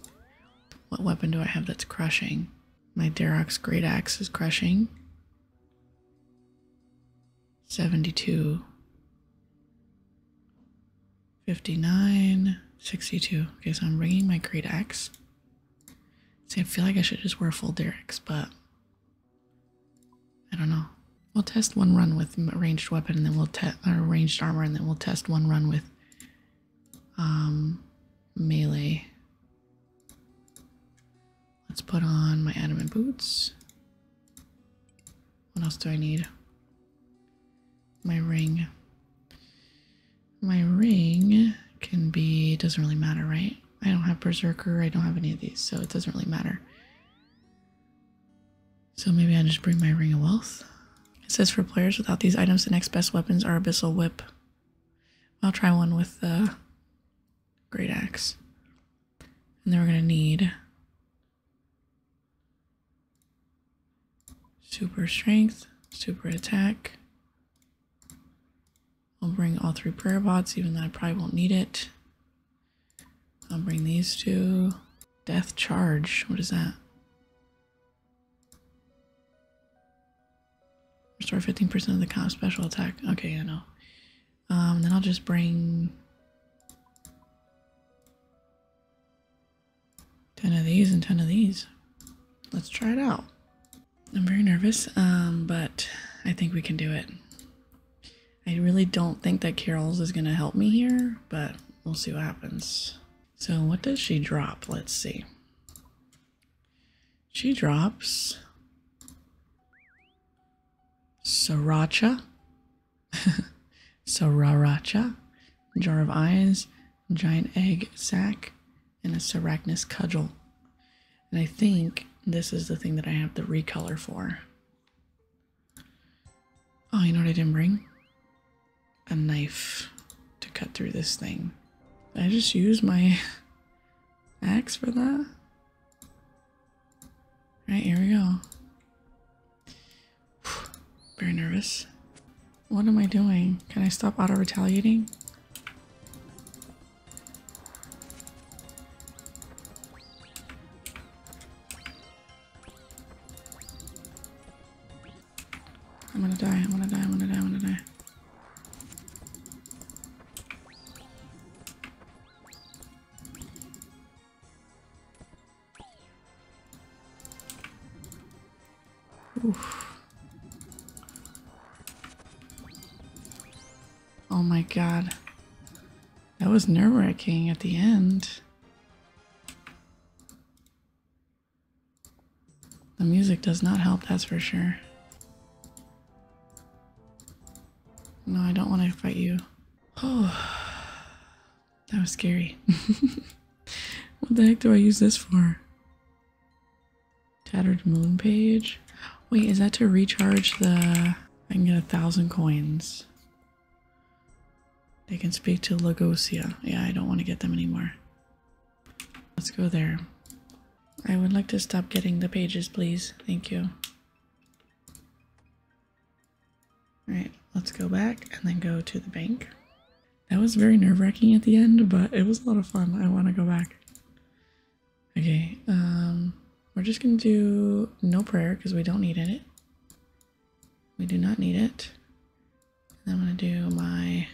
What weapon do I have that's crushing? My Derox Great Axe is crushing. 72. 59, 62. Okay, so I'm bringing my great axe. See, I feel like I should just wear full derricks, but I don't know. We'll test one run with ranged weapon, and then we'll test our ranged armor, and then we'll test one run with um melee. Let's put on my adamant boots. What else do I need? my ring. My ring can be doesn't really matter, right? I don't have berserker, I don't have any of these, so it doesn't really matter. So maybe I just bring my ring of wealth. It says for players without these items, the next best weapons are abyssal whip. I'll try one with the great axe. And then we're gonna need super strength, super attack. I'll bring all three prayer bots, even though I probably won't need it. I'll bring these two. Death charge, what is that? Restore 15% of the comp special attack. Okay, I know. Um, then I'll just bring 10 of these and 10 of these. Let's try it out. I'm very nervous, um, but I think we can do it. I really don't think that Carol's is going to help me here, but we'll see what happens. So what does she drop? Let's see. She drops sriracha, sriracha, jar of eyes, giant egg sack, and a Arachnus Cudgel. And I think this is the thing that I have the recolor for. Oh, you know what I didn't bring? A knife to cut through this thing. I just use my axe for that? All right, here we go. very nervous. What am I doing? Can I stop auto retaliating? I'm gonna die, I'm gonna die, I'm gonna die, I'm gonna die. Oh my god. That was nerve wracking at the end. The music does not help, that's for sure. No, I don't want to fight you. Oh, that was scary. what the heck do I use this for? Tattered moon page. Wait, is that to recharge the... I can get a thousand coins. They can speak to Lagosia. Yeah, I don't want to get them anymore. Let's go there. I would like to stop getting the pages, please. Thank you. Alright, let's go back and then go to the bank. That was very nerve-wracking at the end, but it was a lot of fun. I want to go back. Okay, um, we're just gonna do no prayer because we don't need it. We do not need it. I'm gonna do my.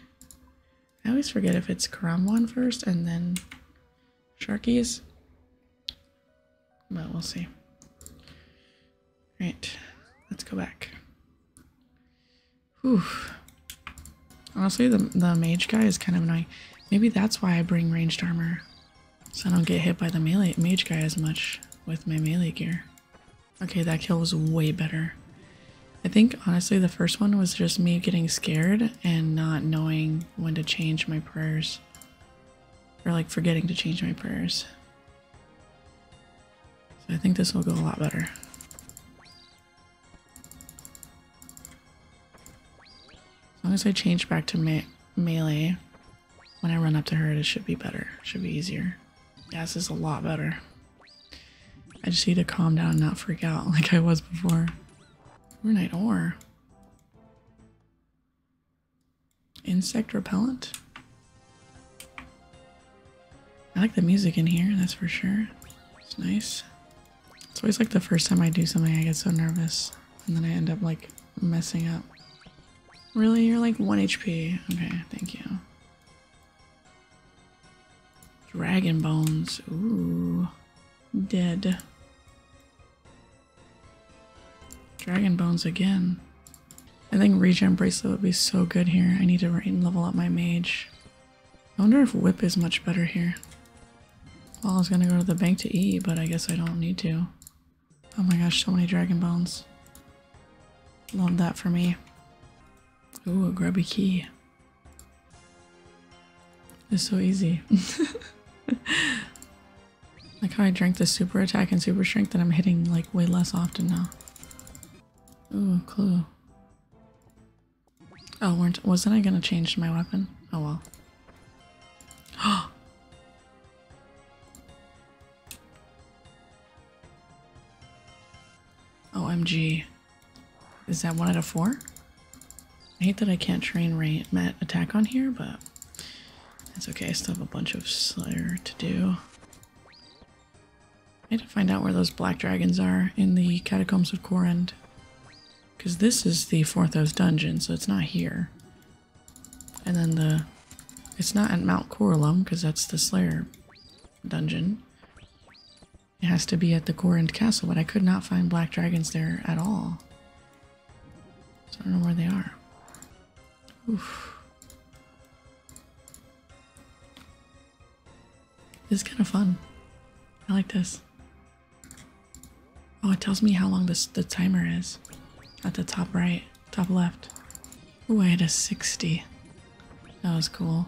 I always forget if it's Karamwan first and then Sharkies. But we'll see. All right, let's go back. Whew. Honestly, the, the mage guy is kind of annoying. Maybe that's why I bring ranged armor. So I don't get hit by the melee mage guy as much with my melee gear. Okay, that kill was way better. I think, honestly, the first one was just me getting scared and not knowing when to change my prayers. Or, like, forgetting to change my prayers. I think this will go a lot better. As long as I change back to melee when I run up to her, it should be better. should be easier. Yeah, this is a lot better. I just need to calm down and not freak out like I was before. Runite ore. Insect repellent. I like the music in here, that's for sure. It's nice. It's always like the first time I do something, I get so nervous. And then I end up like messing up. Really? You're like 1 HP. Okay, thank you. Dragon bones. Ooh. Dead. Dragon bones again. I think regen bracelet would be so good here. I need to level up my mage. I wonder if whip is much better here. Well, I was gonna go to the bank to eat, but I guess I don't need to. Oh my gosh, so many dragon bones. Love that for me. Ooh, a grubby key. It's so easy. like how I drank the super attack and super strength that I'm hitting like way less often now. Ooh, clue. Oh, weren't wasn't I gonna change my weapon? Oh well. Oh. OMG. Is that one out of four? I hate that I can't train rate met attack on here, but it's okay. I still have a bunch of Slayer to do. I need to find out where those black dragons are in the catacombs of Corend. Because this is the Forthos dungeon, so it's not here. And then the... It's not at Mount Corallum, because that's the Slayer dungeon. It has to be at the Corend Castle, but I could not find black dragons there at all. So I don't know where they are. This is kind of fun. I like this. Oh, it tells me how long the timer is at the top right, top left. Oh, I had a 60. That was cool.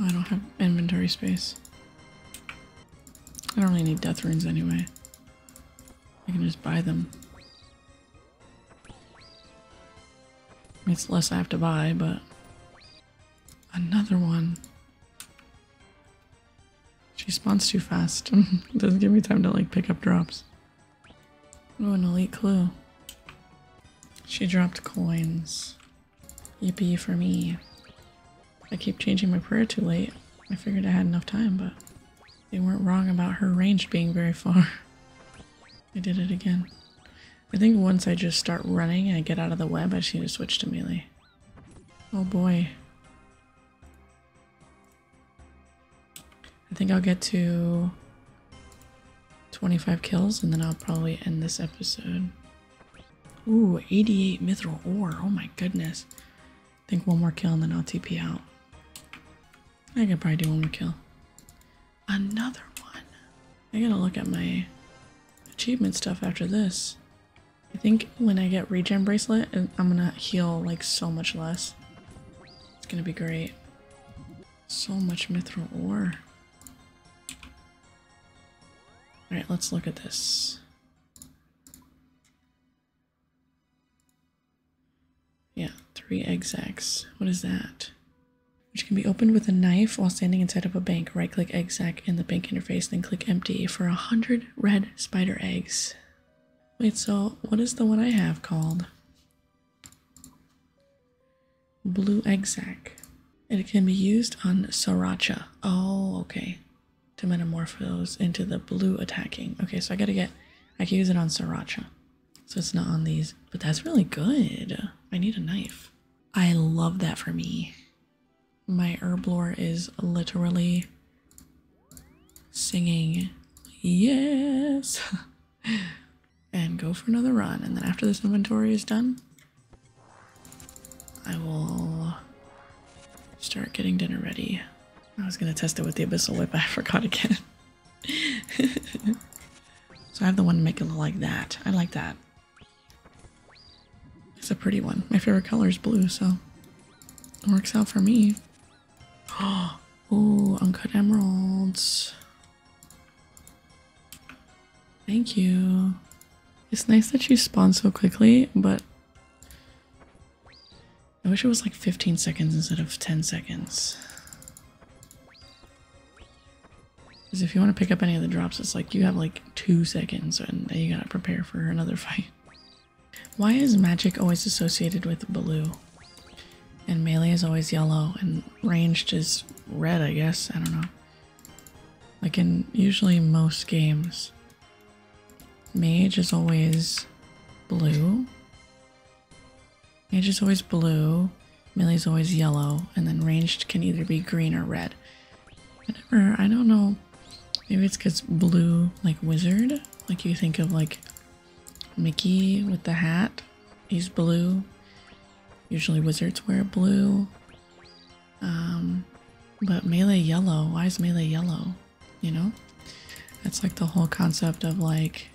I don't have inventory space. I don't really need death runes anyway. I can just buy them. It's less I have to buy, but Another one. She spawns too fast. Doesn't give me time to like pick up drops. Oh, an elite clue. She dropped coins. Yippee for me. I keep changing my prayer too late. I figured I had enough time, but they weren't wrong about her range being very far. I did it again. I think once I just start running and I get out of the web, I just need to switch to melee. Oh boy. I think I'll get to 25 kills and then I'll probably end this episode. Ooh, 88 mithril ore. Oh my goodness. I think one more kill and then I'll TP out. I could probably do one more kill. Another one. I gotta look at my achievement stuff after this. I think when I get regen bracelet, I'm gonna heal like so much less. It's gonna be great. So much mithril ore. Alright, let's look at this. Yeah, three egg sacks. What is that? which can be opened with a knife while standing inside of a bank. Right click egg sack in the bank interface, then click empty for 100 red spider eggs. Wait, so what is the one I have called? Blue egg sack. It can be used on Sriracha. Oh, okay. To metamorphose into the blue attacking. Okay, so I gotta get, I can use it on Sriracha. So it's not on these, but that's really good. I need a knife. I love that for me. My herblore is literally singing yes and go for another run. And then after this inventory is done, I will start getting dinner ready. I was gonna test it with the abyssal whip, I forgot again. so I have the one to make it look like that. I like that. It's a pretty one. My favorite color is blue, so it works out for me. Oh, uncut emeralds. Thank you. It's nice that she spawned so quickly, but I wish it was like 15 seconds instead of 10 seconds. Because if you want to pick up any of the drops, it's like you have like two seconds and you gotta prepare for another fight. Why is magic always associated with blue? And melee is always yellow and ranged is red, I guess. I don't know. Like in usually most games, mage is always blue. Mage is always blue. Melee's always yellow, and then ranged can either be green or red. Whenever, I don't know, maybe it's because blue, like wizard, like you think of like Mickey with the hat, he's blue. Usually wizards wear blue. Um, but melee yellow, why is melee yellow? You know? That's like the whole concept of like,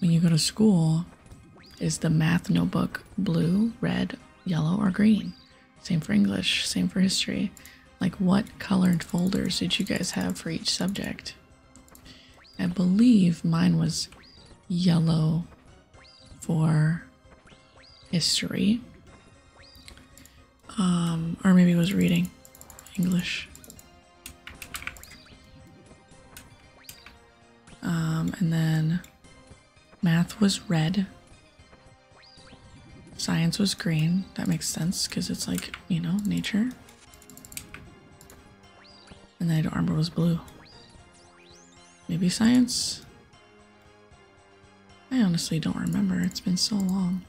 when you go to school, is the math notebook blue, red, yellow, or green? Same for English, same for history. Like, what colored folders did you guys have for each subject? I believe mine was yellow for history. Um, or maybe it was reading English. Um, and then Math was red. Science was green. That makes sense because it's like, you know, nature. And then armor was blue. Maybe science? I honestly don't remember. It's been so long.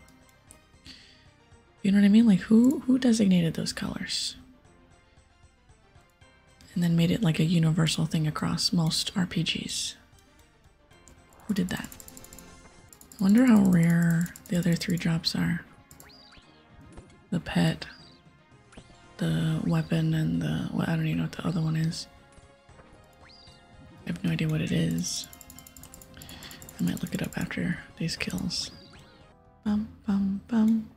You know what I mean? Like who who designated those colors? and then made it like a universal thing across most RPGs. Who did that? wonder how rare the other three drops are. The pet, the weapon, and the. Well, I don't even know what the other one is. I have no idea what it is. I might look it up after these kills. Bum, bum, bum.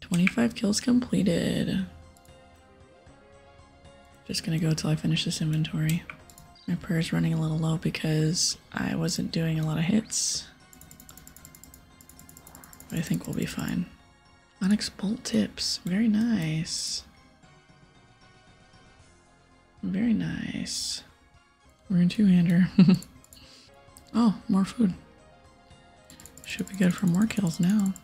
25 kills completed. Just gonna go until I finish this inventory. My prayer is running a little low because I wasn't doing a lot of hits. But I think we'll be fine. Onyx bolt tips, very nice. Very nice. We're in two-hander. oh, more food. Should be good for more kills now.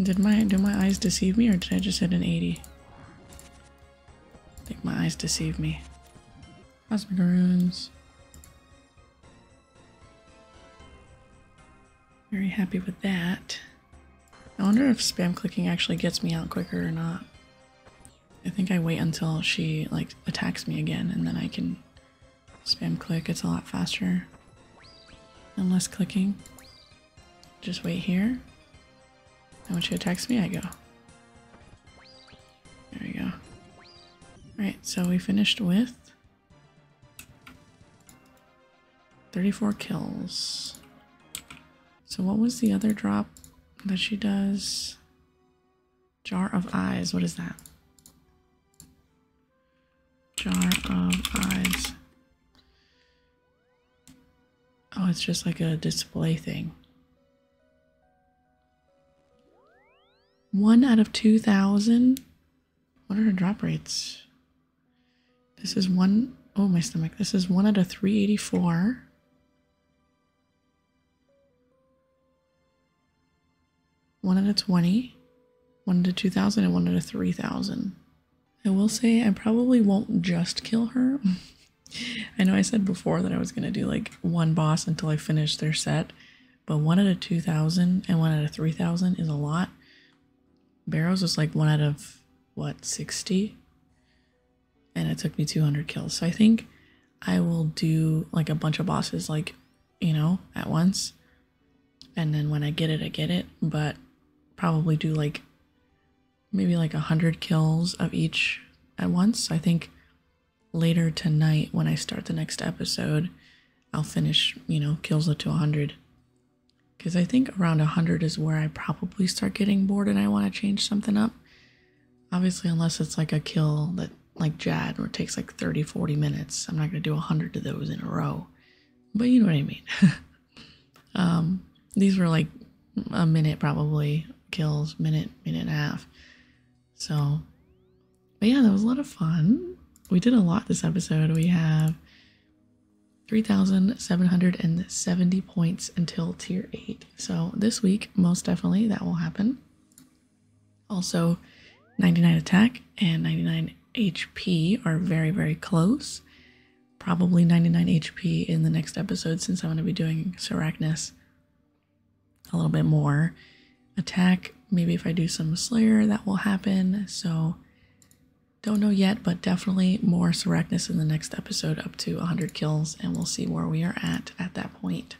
Did my do my eyes deceive me or did I just hit an 80? I think my eyes deceive me. Cosmic runes. Very happy with that. I wonder if spam clicking actually gets me out quicker or not. I think I wait until she like attacks me again and then I can Spam click, it's a lot faster. And less clicking. Just wait here. I want you to text me, I go. There we go. Alright, so we finished with 34 kills. So what was the other drop that she does? Jar of Eyes, what is that? Jar of Eyes. Oh, it's just like a display thing. One out of 2,000? What are the drop rates? This is one, oh my stomach. This is one out of 384. 1 out of 20, 1 out of 2,000, and 1 out of 3,000. I will say I probably won't just kill her. I know I said before that I was going to do like one boss until I finish their set, but 1 out of 2,000 and 1 out of 3,000 is a lot. Barrows was like 1 out of, what, 60? And it took me 200 kills. So I think I will do like a bunch of bosses like, you know, at once and then when I get it, I get it, but probably do like maybe like a hundred kills of each at once. I think later tonight when I start the next episode, I'll finish, you know, kills up to 100. Because I think around 100 is where I probably start getting bored and I want to change something up. Obviously, unless it's like a kill that, like Jad, or takes like like 30 40 minutes. I'm not going to do 100 of those in a row, but you know what I mean. um, these were like a minute probably kills, minute, minute and a half. So, but yeah, that was a lot of fun. We did a lot this episode. We have 3,770 points until tier 8. So, this week, most definitely, that will happen. Also, 99 attack and 99 HP are very, very close. Probably 99 HP in the next episode since I'm going to be doing Seracnus a little bit more. Attack, maybe if I do some Slayer, that will happen. So, don't know yet, but definitely more Seracnus in the next episode, up to 100 kills, and we'll see where we are at at that And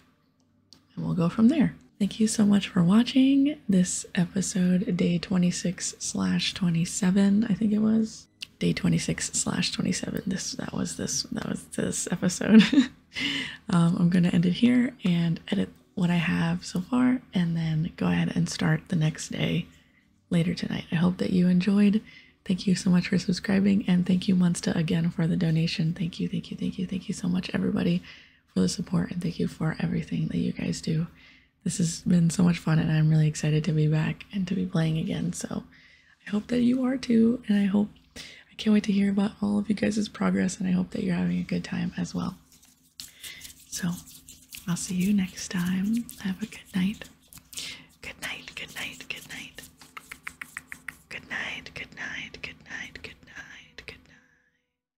we'll go from there. Thank you so much for watching this episode, day 26 slash 27, I think it was. Day 26 slash 27. This that was this that was this episode. um, I'm gonna end it here and edit what I have so far, and then go ahead and start the next day later tonight. I hope that you enjoyed. Thank you so much for subscribing, and thank you, Monsta again for the donation. Thank you, thank you, thank you, thank you so much, everybody for the support and thank you for everything that you guys do. This has been so much fun and I'm really excited to be back and to be playing again. So I hope that you are too. And I hope I can't wait to hear about all of you guys' progress and I hope that you're having a good time as well. So I'll see you next time. Have a good night. Good night, good night, good night. Good night, good night, good night, good night, good night.